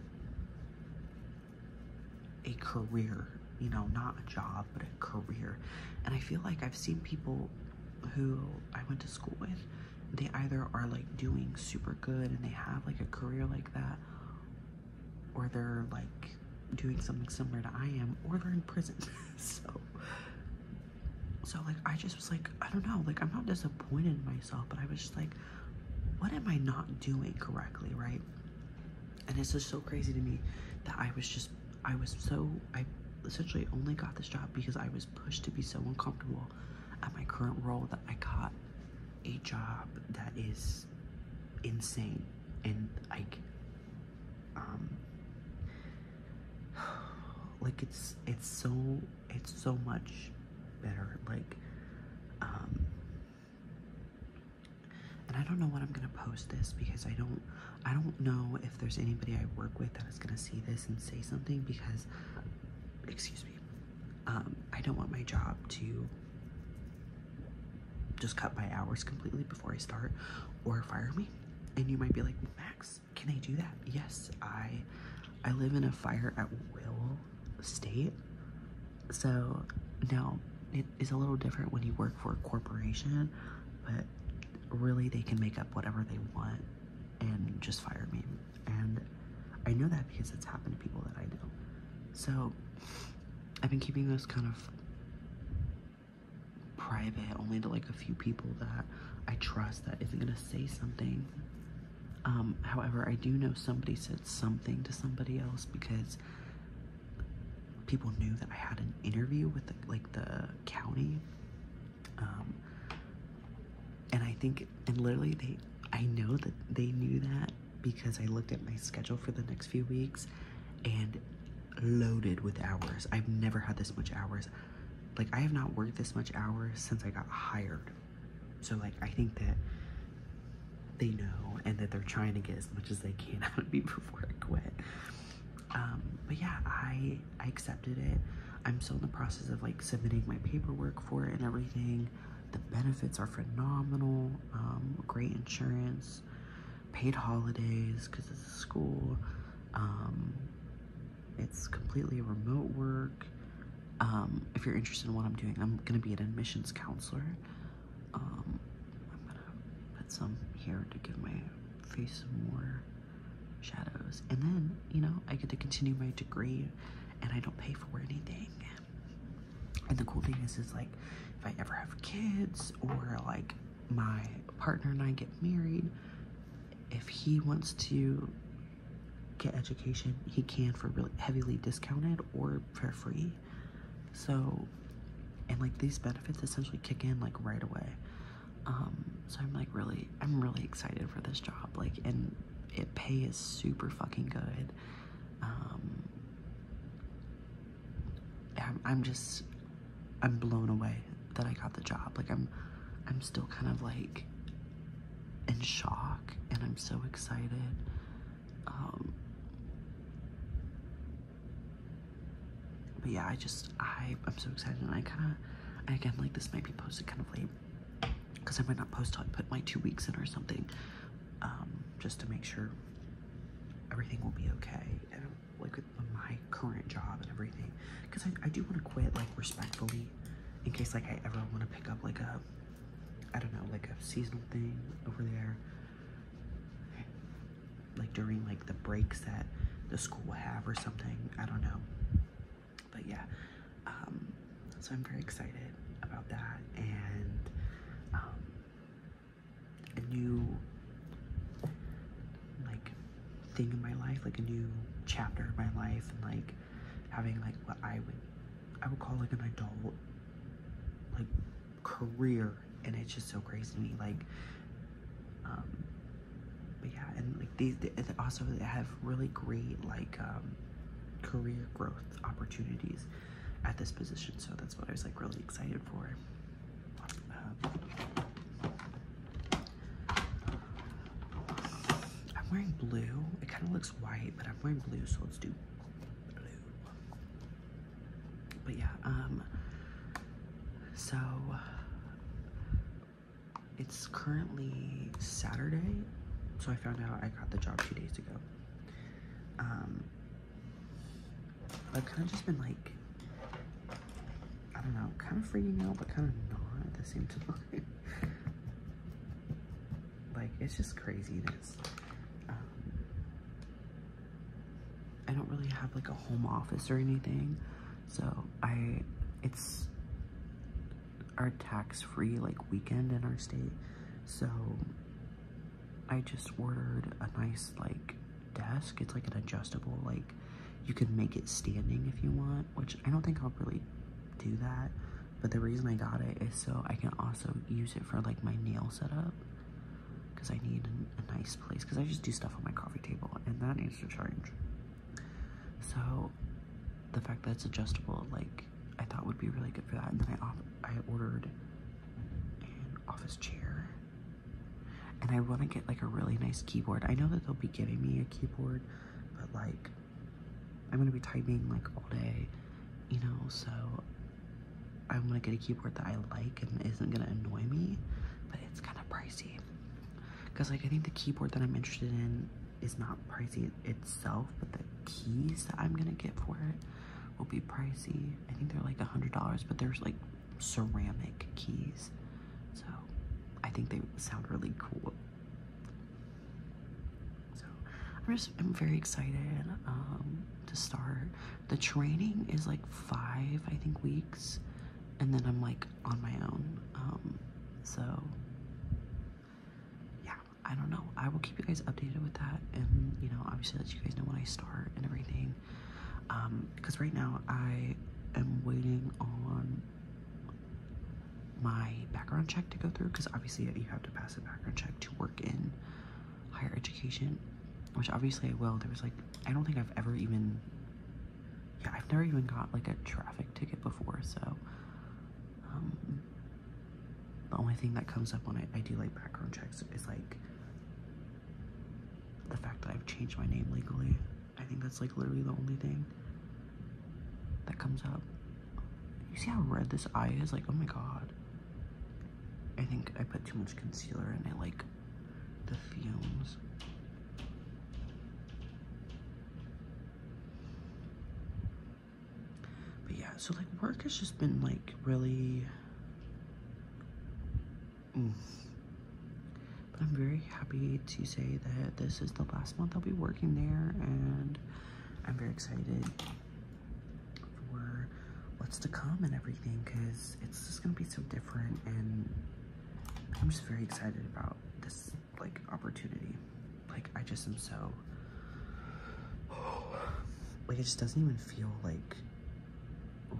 a career, you know, not a job, but a career. And I feel like I've seen people who I went to school with, they either are like doing super good and they have like a career like that, or they're like doing something similar to I am, or they're in prison. so, so like I just was like, I don't know, like I'm not disappointed in myself, but I was just like, what am I not doing correctly, right? And it's just so crazy to me that I was just, I was so, I essentially only got this job because I was pushed to be so uncomfortable at my current role that I got a job that is insane and like um, like it's it's so it's so much better like um, and I don't know what I'm gonna post this because I don't I don't know if there's anybody I work with that is gonna see this and say something because excuse me um, I don't want my job to just cut my hours completely before I start or fire me. And you might be like, Max, can I do that? Yes, I I live in a fire at will state. So now it is a little different when you work for a corporation, but really they can make up whatever they want and just fire me. And I know that because it's happened to people that I know. So I've been keeping those kind of private, only to like a few people that I trust that isn't gonna say something. Um, however, I do know somebody said something to somebody else because people knew that I had an interview with like the county. Um, and I think, and literally they, I know that they knew that because I looked at my schedule for the next few weeks and loaded with hours. I've never had this much hours. Like, I have not worked this much hours since I got hired. So, like, I think that they know and that they're trying to get as much as they can out of me before I quit. Um, but yeah, I, I accepted it. I'm still in the process of like submitting my paperwork for it and everything. The benefits are phenomenal, um, great insurance, paid holidays because it's a school. Um, it's completely remote work. Um, if you're interested in what I'm doing, I'm going to be an admissions counselor. Um, I'm going to put some here to give my face some more shadows. And then, you know, I get to continue my degree and I don't pay for anything. And the cool thing is, is like, if I ever have kids or like my partner and I get married, if he wants to get education, he can for really heavily discounted or for free. So, and like these benefits essentially kick in like right away. Um, so I'm like really, I'm really excited for this job. Like, and it pay is super fucking good. Um, I'm, just, I'm blown away that I got the job. Like I'm, I'm still kind of like in shock and I'm so excited. Um, but yeah, I just, I, I'm so excited and I kind of, again, like this might be posted kind of late because I might not post till I put my two weeks in or something, um, just to make sure everything will be okay. And like my current job and everything because I, do want to quit like respectfully in case like I ever want to pick up like a I don't know like a seasonal thing over there like during like the breaks that the school will have or something I don't know but yeah um, so I'm very excited about that and um, a new like thing in my life, like a new chapter in my life, and like having like what I would I would call like an adult like career, and it's just so crazy to me. Like, um, but yeah, and like these they, also they have really great like um, career growth opportunities at this position, so that's what I was like really excited for. I'm wearing blue. It kind of looks white, but I'm wearing blue, so let's do blue. But yeah, um, so it's currently Saturday, so I found out I got the job two days ago. Um, I've kind of just been like, I don't know, kind of freaking out, but kind of not at the same time. like, it's just craziness. Um, I don't really have like a home office or anything, so I, it's our tax-free like weekend in our state, so I just ordered a nice like desk. It's like an adjustable, like you can make it standing if you want, which I don't think I'll really do that. But the reason I got it is so I can also use it for like my nail setup because I need a, nice place because I just do stuff on my coffee table and that needs to charge. So the fact that it's adjustable, like I thought would be really good for that. And then I, I ordered an office chair and I want to get like a really nice keyboard. I know that they'll be giving me a keyboard, but like I'm going to be typing like all day, you know, so I want to get a keyboard that I like and isn't going to annoy me, but it's kind of pricey. Because like I think the keyboard that I'm interested in is not pricey itself, but the keys that I'm going to get for it will be pricey. I think they're like a $100, but there's like ceramic keys. So I think they sound really cool. So I'm just I'm very excited um, to start. The training is like five, I think, weeks, and then I'm like on my own. Um, so yeah, I don't know. I will keep you guys updated with that, and you know, obviously let you guys know when I start and everything because um, right now I am waiting on my background check to go through because obviously you have to pass a background check to work in higher education which obviously I will there was like I don't think I've ever even yeah I've never even got like a traffic ticket before so um, the only thing that comes up when I do like background checks is like the fact that I've changed my name legally. I think that's like literally the only thing that comes up. You see how red this eye is? Like, oh my god. I think I put too much concealer and I like the fumes. But yeah, so like work has just been like really but I'm very happy to say that this is the last month I'll be working there and I'm very excited for what's to come and everything because it's just going to be so different and I'm just very excited about this like opportunity. Like I just am so like it just doesn't even feel like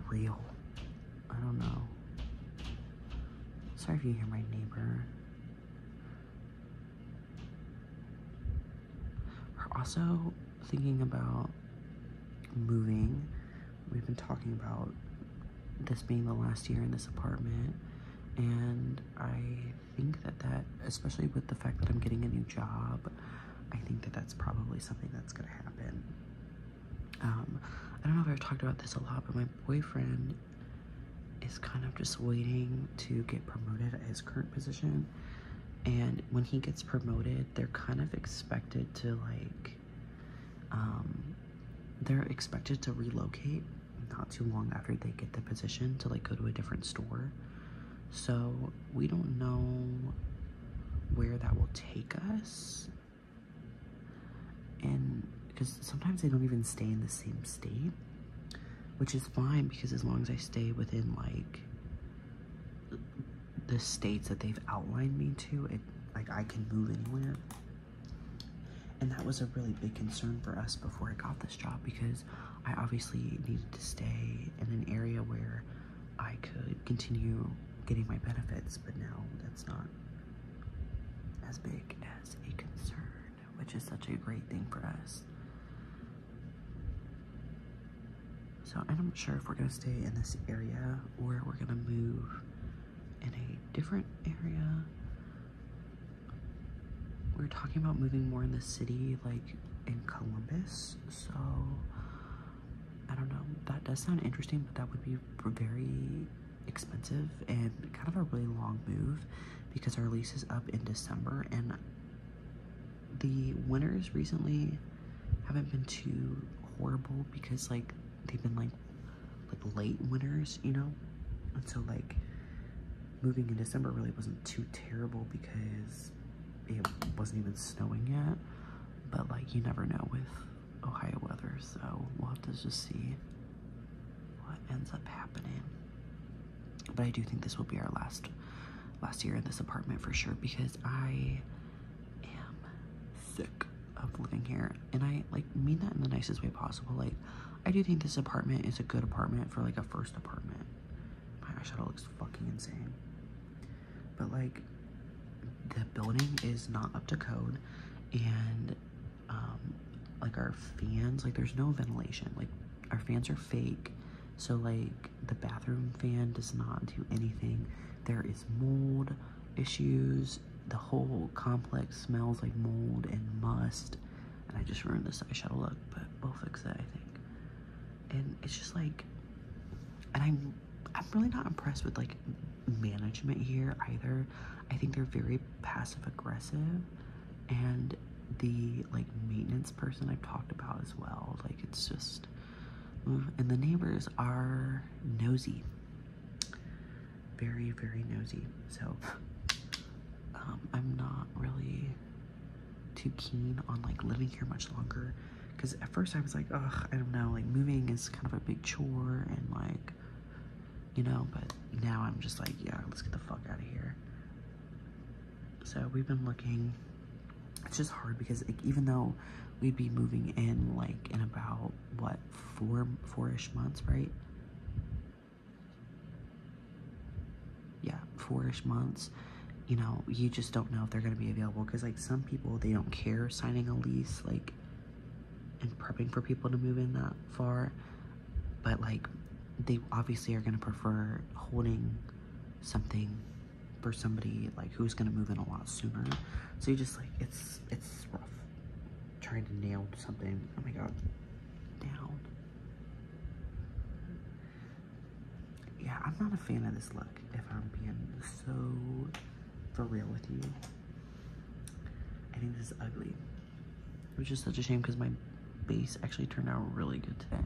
real. I don't know. Sorry if you hear my neighbor. We're also thinking about moving. We've been talking about this being the last year in this apartment and I think that that, especially with the fact that I'm getting a new job, I think that that's probably something that's gonna happen um, I don't know if I've talked about this a lot, but my boyfriend is kind of just waiting to get promoted at his current position. And when he gets promoted, they're kind of expected to like, um, they're expected to relocate not too long after they get the position to like go to a different store. So we don't know where that will take us and because sometimes they don't even stay in the same state which is fine because as long as I stay within like the states that they've outlined me to it like I can move anywhere and that was a really big concern for us before I got this job because I obviously needed to stay in an area where I could continue getting my benefits, but now that's not as big as a concern, which is such a great thing for us. So I'm not sure if we're gonna stay in this area or we're gonna move in a different area. We're talking about moving more in the city, like in Columbus. So I don't know. That does sound interesting, but that would be very expensive and kind of a really long move because our lease is up in December and the winters recently haven't been too horrible because like they've been like like late winters, you know? And so like moving in December really wasn't too terrible because it wasn't even snowing yet. But like you never know with Ohio weather, so we'll have to just see what ends up happening. But I do think this will be our last last year in this apartment for sure because I am sick of living here. And I like mean that in the nicest way possible. Like I do think this apartment is a good apartment for like a first apartment. My eyeshadow looks fucking insane but like the building is not up to code and um like our fans like there's no ventilation like our fans are fake so like the bathroom fan does not do anything there is mold issues the whole complex smells like mold and must and i just ruined this eyeshadow look but we'll fix it i think and it's just like and i'm I'm really not impressed with like management here either. I think they're very passive aggressive and the like maintenance person I've talked about as well. Like it's just and the neighbors are nosy. Very, very nosy. So um, I'm not really too keen on like living here much longer. Because at first I was like, ugh, I don't know, like moving is kind of a big chore and like, you know, but now I'm just like, yeah, let's get the fuck out of here. So we've been looking. It's just hard because like, even though we'd be moving in like in about what four four-ish months, right? Yeah, four-ish months. You know, you just don't know if they're gonna be available because like some people they don't care signing a lease, like and prepping for people to move in that far but like they obviously are going to prefer holding something for somebody like who's going to move in a lot sooner so you just like it's it's rough trying to nail something oh my god down yeah i'm not a fan of this look if I'm being so for real with you. I think this is ugly. Which just such a shame because my base actually turned out really good today.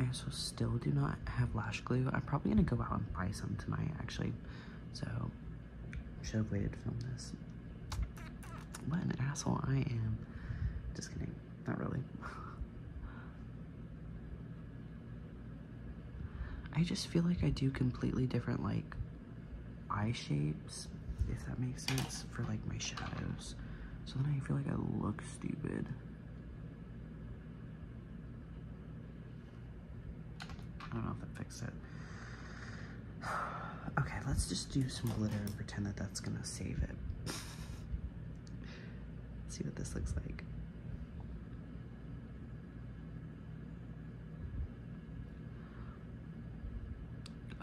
I also still do not have lash glue. I'm probably gonna go out and buy some tonight actually. So, should have waited to film this. What an asshole I am. Just kidding. Not really. I just feel like I do completely different, like, eye shapes, if that makes sense, for, like, my shadows. So then I feel like I look stupid. I don't know if that fixed it. Okay, let's just do some glitter and pretend that that's gonna save it. See what this looks like.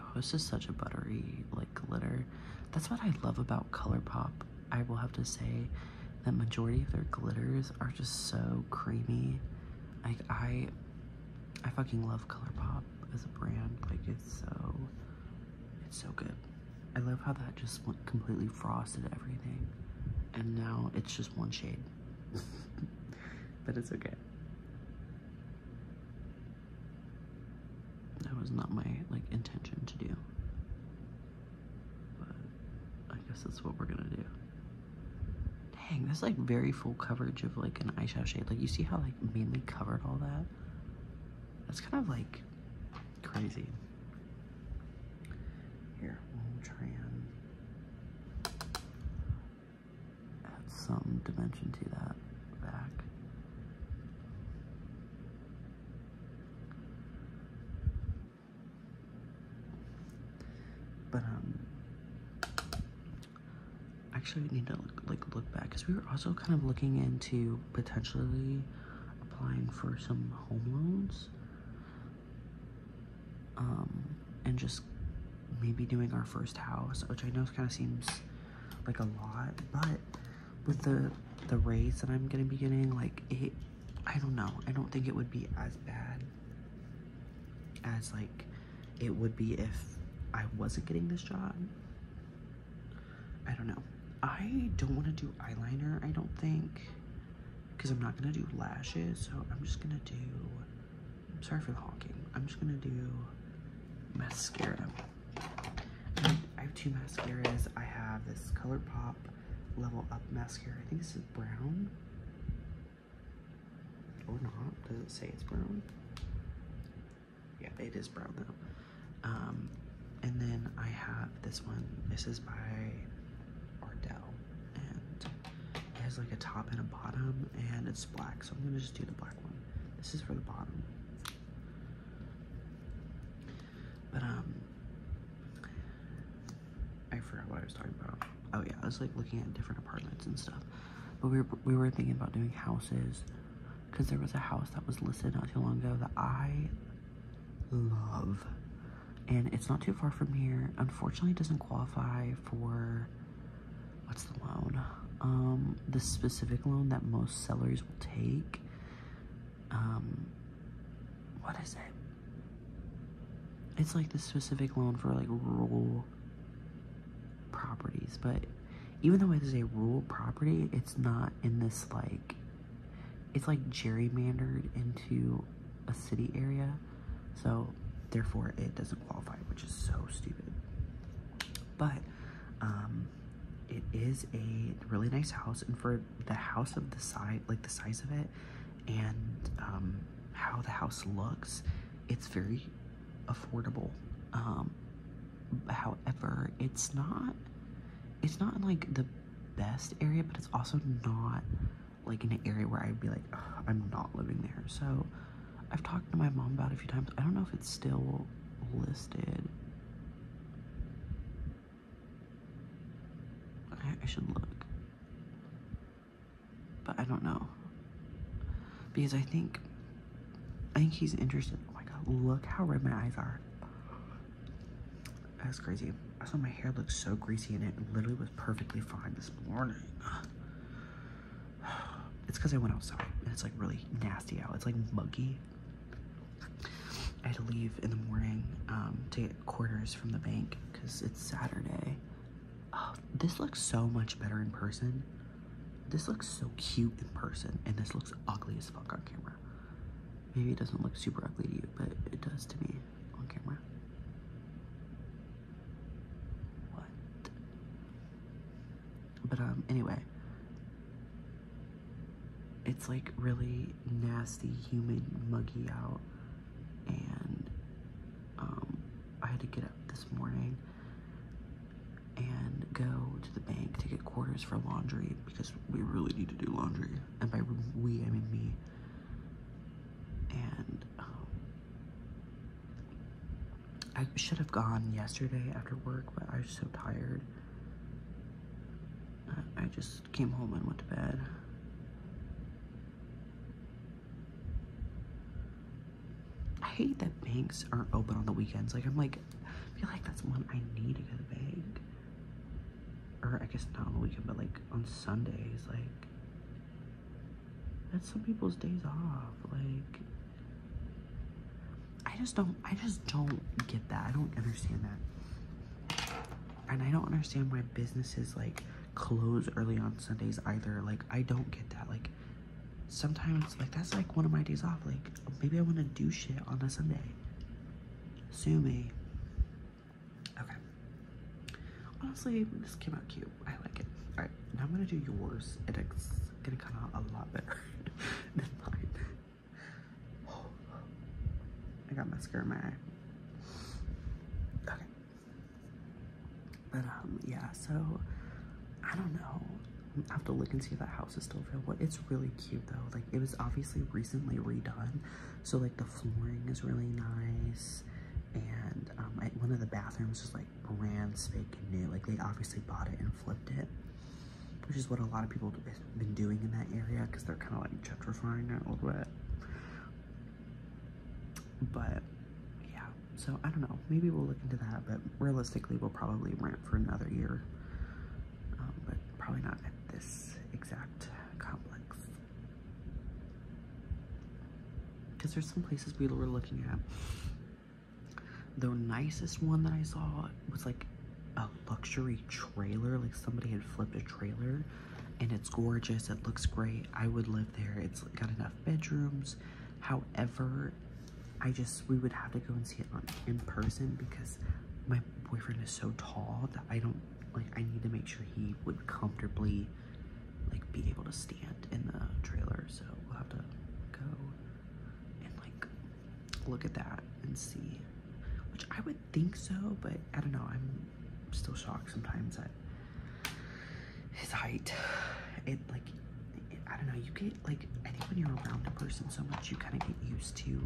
Oh, this is such a buttery, like, glitter. That's what I love about ColourPop, I will have to say. That majority of their glitters are just so creamy. Like I I fucking love ColourPop as a brand. Like it's so it's so good. I love how that just completely frosted everything. And now it's just one shade. but it's okay. That was not my like intention to do. But I guess that's what we're gonna do. Dang, that's like very full coverage of like an eyeshadow shade. Like you see how like mainly covered all that? That's kind of like crazy. Here, try and add some dimension to that back. But um, actually, we need to look, like look back because we were also kind of looking into potentially applying for some home loans. Um, and just maybe doing our first house, which I know kind of seems like a lot, but with the the raise that I'm gonna be getting, like it, I don't know. I don't think it would be as bad as like it would be if I wasn't getting this job. I don't know. I don't want to do eyeliner, I don't think, because I'm not going to do lashes, so I'm just going to do, I'm sorry for the honking, I'm just going to do mascara. I have two mascaras. I have this ColourPop Level Up Mascara. I think this is brown. Or not. Does it say it's brown? Yeah, it is brown though. Um, and then I have this one. This is by Ardell. And it has like a top and a bottom. And it's black. So I'm going to just do the black one. This is for the bottom. But, um, I forgot what I was talking about. Oh yeah, I was like looking at different apartments and stuff. But we were, we were thinking about doing houses because there was a house that was listed not too long ago that I love. And it's not too far from here. Unfortunately, it doesn't qualify for what's the loan? Um, the specific loan that most sellers will take. Um, what is it? it's like the specific loan for like rural properties but even though it is a rural property it's not in this like it's like gerrymandered into a city area so therefore it doesn't qualify which is so stupid but um, it is a really nice house and for the house of the size like the size of it and um, how the house looks, it's very affordable. Um, however, it's not it's not like the best area, but it's also not like an area where I'd be like, I'm not living there. So I've talked to my mom about it a few times. I don't know if it's still listed. I should look. But I don't know. Because I think, I think he's interested. Oh my god, look how red my eyes are. That's crazy. I saw my hair looked so greasy and it literally was perfectly fine this morning. It's because I went outside and it's like really nasty out. It's like muggy. I had to leave in the morning um, to get quarters from the bank because it's Saturday. Oh, this looks so much better in person. This looks so cute in person, and this looks ugly as fuck on camera. Maybe it doesn't look super ugly to you, but it does to me on camera. What? But, um, anyway. It's like really nasty, humid, muggy out and um, I had to get up this morning and go to the bank to get quarters for laundry because we really need to do laundry. And by we, I mean me. And um, I should have gone yesterday after work, but I was so tired. I just came home and went to bed. I hate that banks aren't open on the weekends. Like, I'm like, feel like that's when I need to go to the bank. Or I guess not on the weekend, but like on Sundays. Like, that's some people's days off. Like, I just don't, I just don't get that. I don't understand that. And I don't understand why businesses like close early on Sundays either. Like, I don't get that. Like, sometimes, like, that's like one of my days off. Like, maybe I want to do shit on a Sunday. Sue me. Okay. Honestly, this came out cute. I like it. Alright, now I'm gonna do yours, and it's gonna come out a lot better than mine. I got mascara in my eye. Okay. But um, yeah, so I don't know. have to look and see if that house is still available. It's really cute though. Like it was obviously recently redone, so like the flooring is really nice, and um, one of the bathrooms is like brand spanking new. Like they obviously bought it and flipped it, which is what a lot of people have been doing in that area because they're kind of like gentrifying it a little bit. But yeah, so I don't know. Maybe we'll look into that, but realistically, we'll probably rent for another year. Um, but probably not at this exact complex. Because there's some places we were looking at. The nicest one that I saw was like a luxury trailer. Like somebody had flipped a trailer and it's gorgeous. It looks great. I would live there. It's got enough bedrooms. However, I just we would have to go and see it in person because my boyfriend is so tall that I don't like I need to make sure he would comfortably like be able to stand in the trailer. So we'll have to go and like look at that and see. Which I would think so, but I don't know. I'm I'm still shocked sometimes at his height. It like, I don't know, you get like, I think when you're around a person so much, you kind of get used to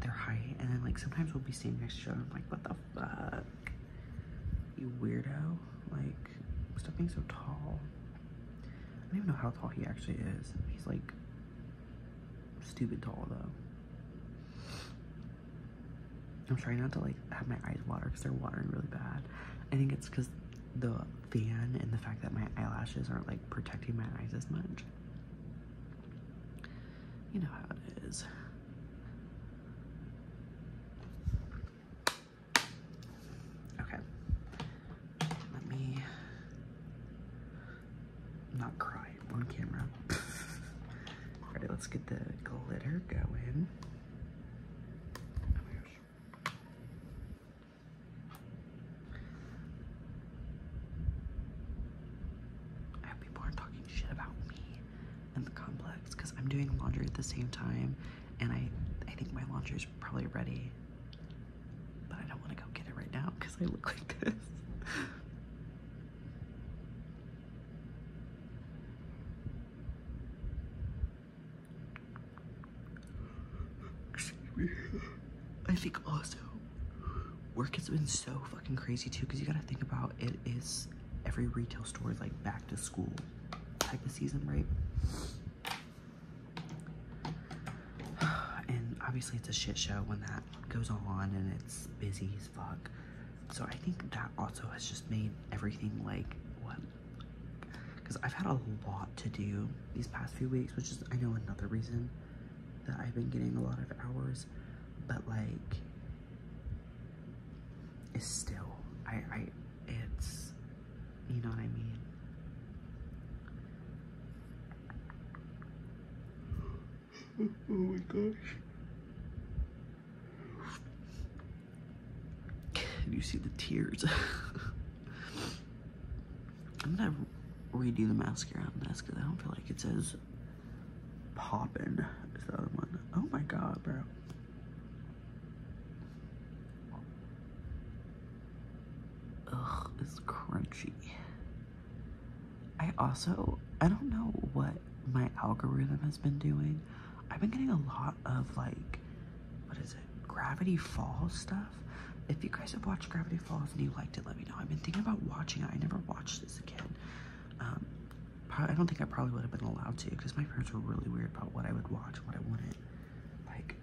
their height. And then like, sometimes we'll be standing next to each I'm like, what the fuck? You weirdo. Like, stop being so tall. I don't even know how tall he actually is. He's like stupid tall though. I'm trying not to like have my eyes water because they're watering really bad. I think it's because the fan and the fact that my eyelashes aren't like protecting my eyes as much. You know how it is. Okay. Let me not cry on camera. All right, let's get the glitter going. I hope people aren't talking shit about me and the complex because I'm doing laundry at the same time and I, I think my laundry probably ready, but I don't want to go get it right now because I look like this. I think also work has been so fucking crazy too because you gotta think about it is every retail store is like back to school type of season, right? And obviously it's a shit show when that goes on and it's busy, so I think that also has just made everything like what? Because I've had a lot to do these past few weeks, which is, I know, another reason that I've been getting a lot of hours. But like, it's still, I, I, it's, you know what I mean? oh my gosh. Do you see the tears? I'm gonna redo the mascara on this because I don't feel like it says poppin' is the other one. Oh my god, bro. Ugh, it's crunchy. I also, I don't know what my algorithm has been doing, I've been getting a lot of like, what is it, Gravity Falls stuff. If you guys have watched Gravity Falls and you liked it, let me know. I've been thinking about watching it. I never watched this again. Um, I don't think I probably would have been allowed to because my parents were really weird about what I would watch and what I wanted. Like,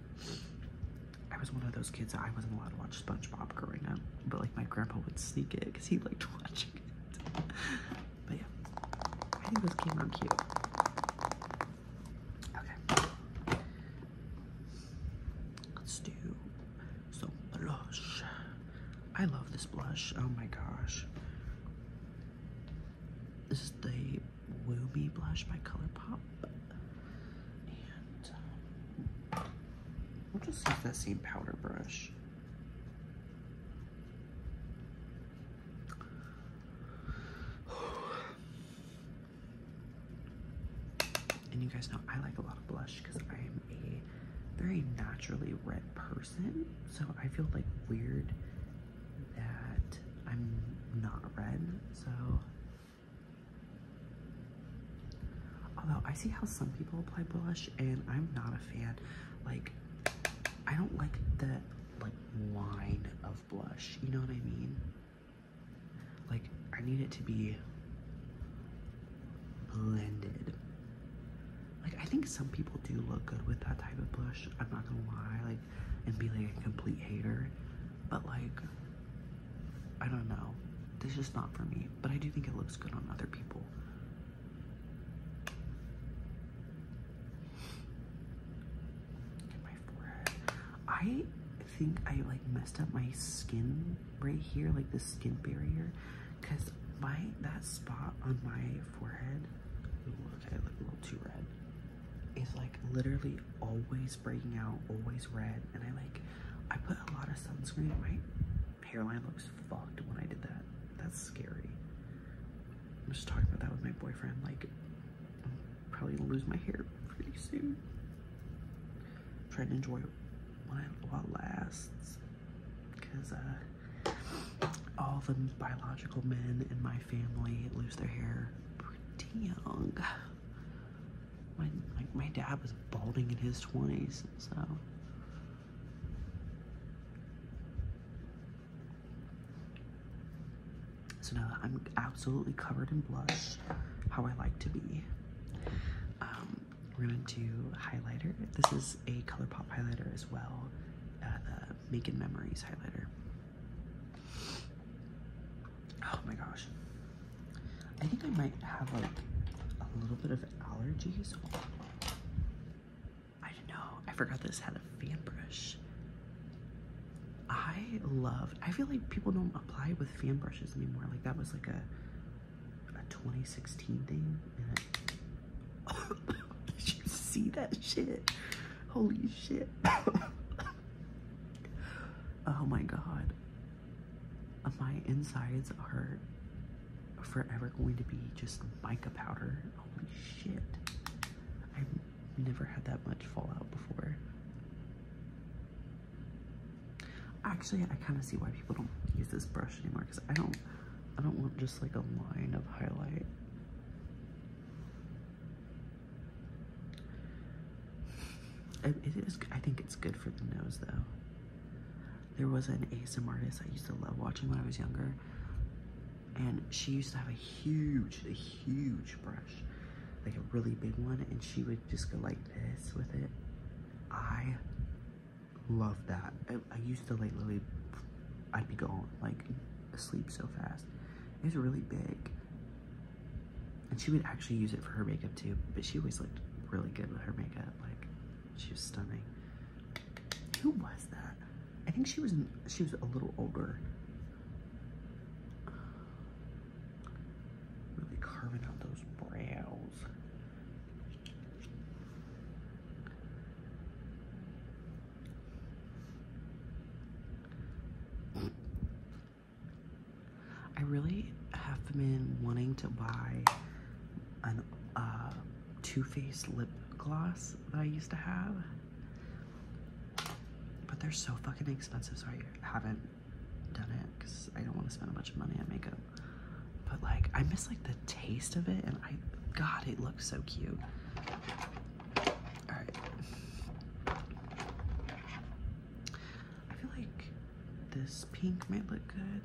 I was one of those kids I wasn't allowed to watch SpongeBob growing up, but like my grandpa would sneak it because he liked watching it. But yeah, I think this came out cute. Okay. Let's do some blush. I love this blush. Oh my gosh. This is the Wooby blush by ColourPop. And um, we'll just use that same powder brush. And you guys know I like a lot of blush because I am a very naturally red person. So I feel like weird that I'm not red. So, although I see how some people apply blush and I'm not a fan. Like, I don't like that like line of blush. You know what I mean? Like I need it to be blended. Like I think some people do look good with that type of blush. I'm not gonna lie, like and be like a complete hater. But like I don't know. This is not for me. But I do think it looks good on other people. I think I like messed up my skin right here, like the skin barrier, because my that spot on my forehead. Look, look a little too red. Is like literally always breaking out, always red, and I like I put a lot of sunscreen. My hairline looks fucked when I did that. That's scary. I'm just talking about that with my boyfriend. Like, I'm probably gonna lose my hair pretty soon. trying to enjoy while, while it lasts, because uh, all the biological men in my family lose their hair pretty young. like my dad was balding in his 20s, so so now I'm absolutely covered in blush, how I like to be. Um, we're going to highlighter. This is a ColourPop highlighter as well, uh, the uh, Making Memories highlighter. Oh my gosh. I think I might have like a little bit of allergies. I didn't know. I forgot this had a fan brush. I love. I feel like people don't apply with fan brushes anymore. Like that was like a a 2016 thing. did you see that shit? Holy shit! oh my god. My insides are forever going to be just mica powder. Holy shit. I've never had that much fallout before. Actually, I kind of see why people don't use this brush anymore because I don't, I don't want just like a line of highlight. it is, I think it's good for the nose though. There was an ASMR artist I used to love watching when I was younger and she used to have a huge, a huge brush, like a really big one, and she would just go like this with it. I love that. I, used to like Lily. I'd be going like asleep so fast. It was really big. And she would actually use it for her makeup too, but she always looked really good with her makeup. Like, she was stunning. Who was that? I think she was she was a little older. Really carving out those brows. I really have been wanting to buy an uh, too Faced lip gloss that I used to have. But they're so fucking expensive, so I haven't done it because I don't want to spend a bunch of money on makeup. But like, I miss like the taste of it, and I, God, it looks so cute. All right. I feel like this pink might look good.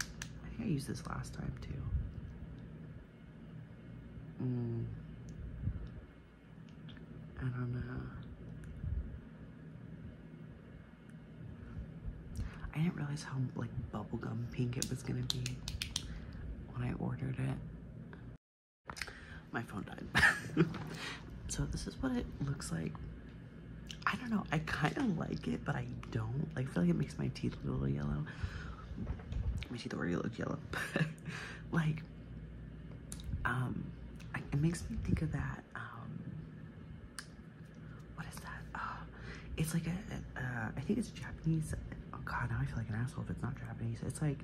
I think I used this last time too. Mm. I don't know. I didn't realize how like bubblegum pink it was gonna be when I ordered it. My phone died. so this is what it looks like. I don't know, I kind of like it, but I don't. I feel like it makes my teeth a little yellow. Let me My teeth already look yellow. like, um, it makes me think of that. Um, what is that? Oh, it's like a. I think it's Japanese. Oh God, now I feel like an asshole if it's not Japanese. It's like,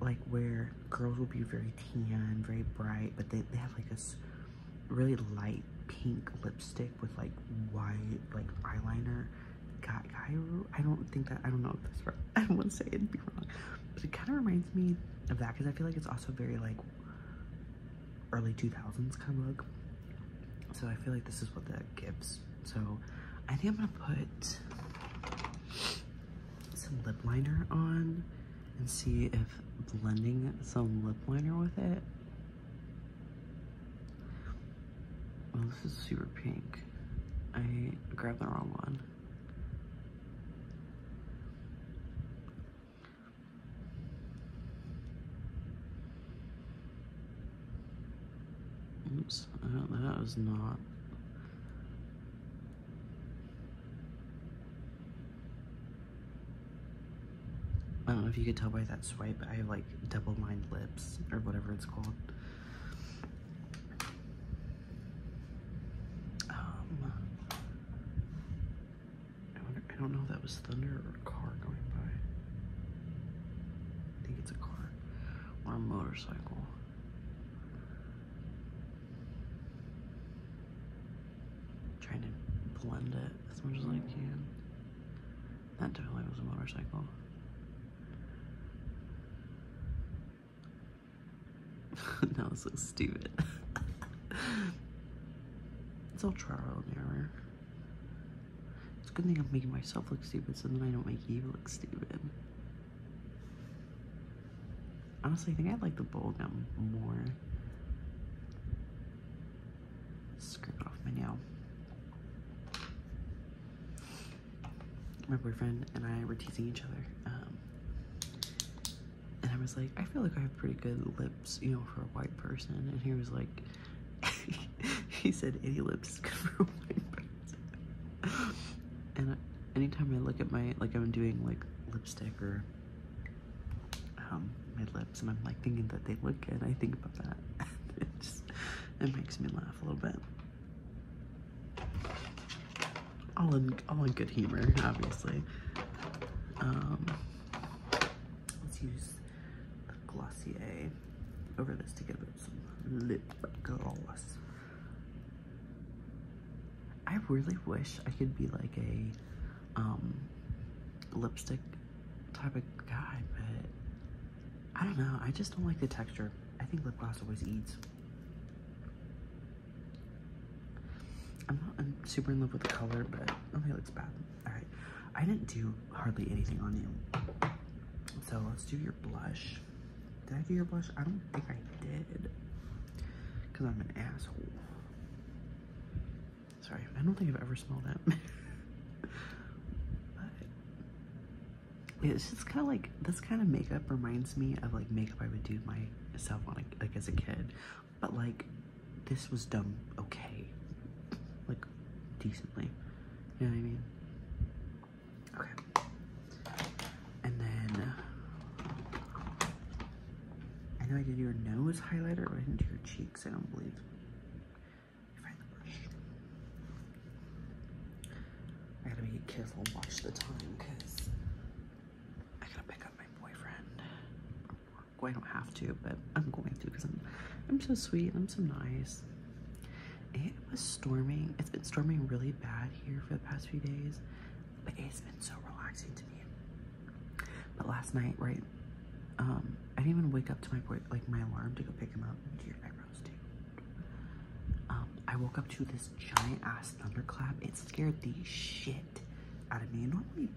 like where girls will be very tan, very bright, but they, they have like this really light pink lipstick with like white like eyeliner. Guy, I don't think that I don't know if this. I don't want to say it'd be wrong, but it kind of reminds me of that because I feel like it's also very like early 2000s kind of look. So I feel like this is what that gives. So I think I'm gonna put some lip liner on and see if blending some lip liner with it well, this is super pink. I grabbed the wrong one. Oops, that was not I don't know if you could tell by that swipe, I like Double Lined Lips, or whatever it's called. Um, I, don't know if that was thunder or a car going by. I think it's a car or a motorcycle. trying to blend it as much as I can. That definitely was a motorcycle. that was so stupid. it's all trial and error. It's a good thing I'm making myself look stupid so then I don't make you look stupid. Honestly, I think I'd like the bubblegum more. Scrape off my nail my boyfriend and I were teasing each other. Um, and I was like, I feel like I have pretty good lips, you know, for a white person. And he was like, he said, any lips is good for white person. and anytime I look at my, like I'm doing like lipstick or um, my lips and I'm like thinking that they look good, I think about that. It makes me laugh a little bit. All in, all in good humor, obviously. Um, let's use the Glossier over this to give it some lip gloss. I really wish I could be like a um, lipstick type of guy, but I don't know. I just don't like the texture. I think lip gloss always eats. I'm not super in love with the color, but okay, it looks bad. Alright, I didn't do hardly anything on you. So let's do your blush. Did I do your blush? I don't think I did. Because I'm an asshole. Sorry, I don't think I've ever smelled it. but it's just kind of like this kind of makeup reminds me of like makeup I would do myself on like as a kid, but like this was done okay, like decently. You know what I mean? Okay. And then I know I did your nose highlighter, but I didn't do your cheeks. I don't believe. I gotta be careful and watch the time because I gotta pick up my boyfriend. I don't have to, but I'm going to because I'm I'm so sweet. I'm so nice. It was storming. It's been storming really bad here for the past few days, but it's been so relaxing to me. But last night, right, um, I didn't even wake up to my boy like my alarm to go pick him up. Um, I woke up to this giant ass thunderclap. It scared the shit out of me. Normally,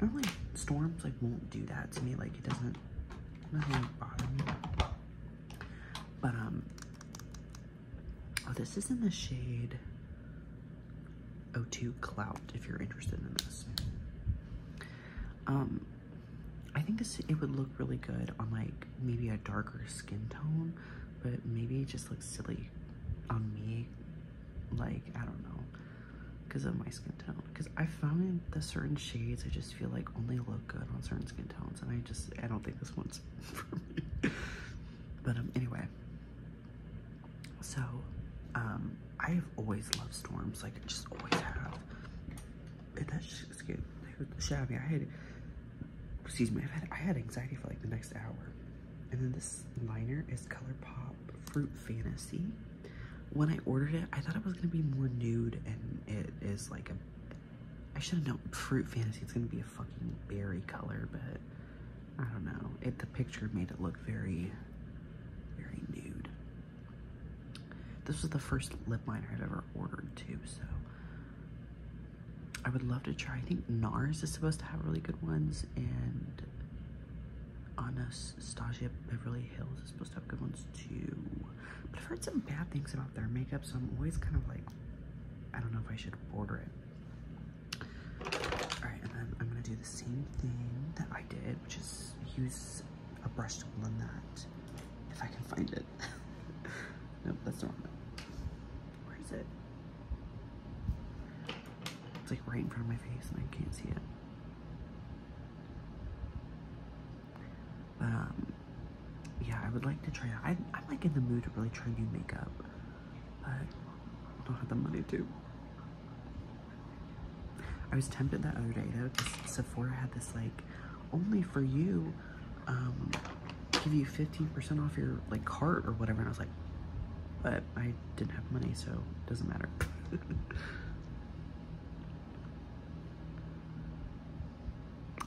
normally storms like won't do that to me. Like it doesn't, nothing bother me. But um, oh, this is in the shade O2 Clout. If you're interested in this, um, I think this it would look really good on like maybe a darker skin tone, but maybe it just looks silly on me. Like I don't know, because of my skin tone. Because I found the certain shades I just feel like only look good on certain skin tones, and I just I don't think this one's for me. but um, anyway, so um, I have always loved storms. Like I just always have and that shit scared the I had, excuse me, i had, I had anxiety for like the next hour. And then this liner is ColourPop Fruit Fantasy. When I ordered it, I thought it was going to be more nude, and it is like a, I should have known, Fruit Fantasy, it's going to be a fucking berry color, but I don't know. It The picture made it look very, very nude. This was the first lip liner I've ever ordered too, so I would love to try. I think NARS is supposed to have really good ones, and Anastasia Beverly Hills is supposed to have good ones too. But I've heard some bad things about their makeup, so I'm always kind of like, I don't know if I should order it. Alright, and then I'm gonna do the same thing that I did, which is use a brush tool on that if I can find it. nope, that's not it. Where is it? It's like right in front of my face and I can't see it. um, yeah, I would like to try I, I'm like in the mood to really try new makeup, but I don't have the money to. I was tempted that other day though, because Sephora had this like only for you, um, give you 15% off your like cart or whatever. And I was like, but I didn't have money, so it doesn't matter.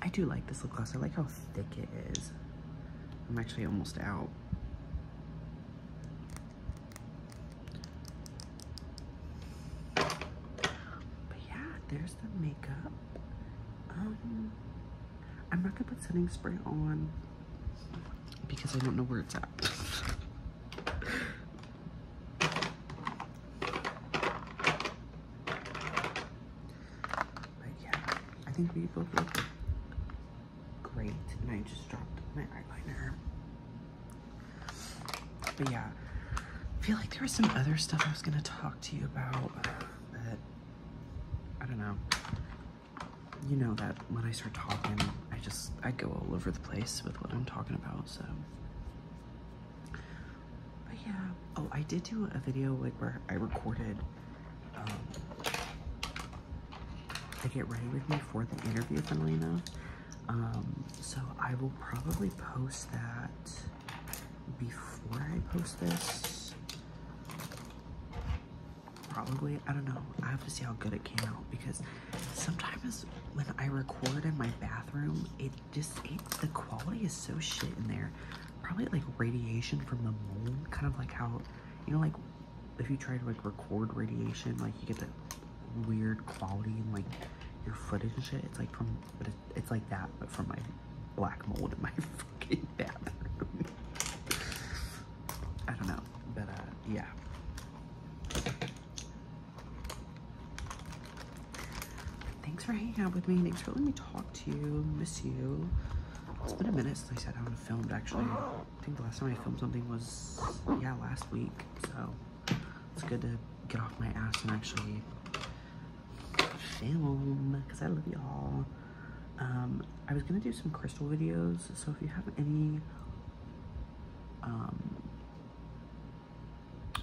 I do like this lip gloss. I like how thick it is. I'm actually almost out. But yeah, there's the makeup. Um, I'm not gonna put setting spray on because I don't know where it's at. but yeah, I think we both look great. And I just dropped my eyeliner but yeah, I feel like there was some other stuff I was gonna talk to you about, but uh, I don't know. You know that when I start talking, I just, I go all over the place with what I'm talking about, so. But yeah, oh, I did do a video like where I recorded, um, to get ready with me for the interview, funnily enough. Um, so I will probably post that before I post this. Probably, I don't know. I have to see how good it came out because sometimes when I record in my bathroom, it just the quality is so shit in there. Probably like radiation from the mold, kind of like how you know, like if you try to like record radiation, like you get that weird quality and like your footage and shit. It's like from but it's like that, but for my black mold in my fucking bathroom. I don't know, but uh, yeah. Thanks for hanging out with me. Thanks for letting me talk to you. Miss you. It's been a minute since I sat down and filmed, actually. I think the last time I filmed something was, yeah, last week. So it's good to get off my ass and actually film because I love y'all. Um, I was gonna do some crystal videos, so if you have any, um,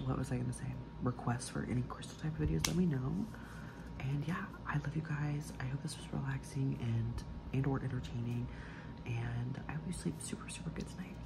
what was I gonna say? Requests for any crystal type videos, let me know. And yeah, I love you guys. I hope this was relaxing and and or entertaining. And I hope you sleep super, super good tonight.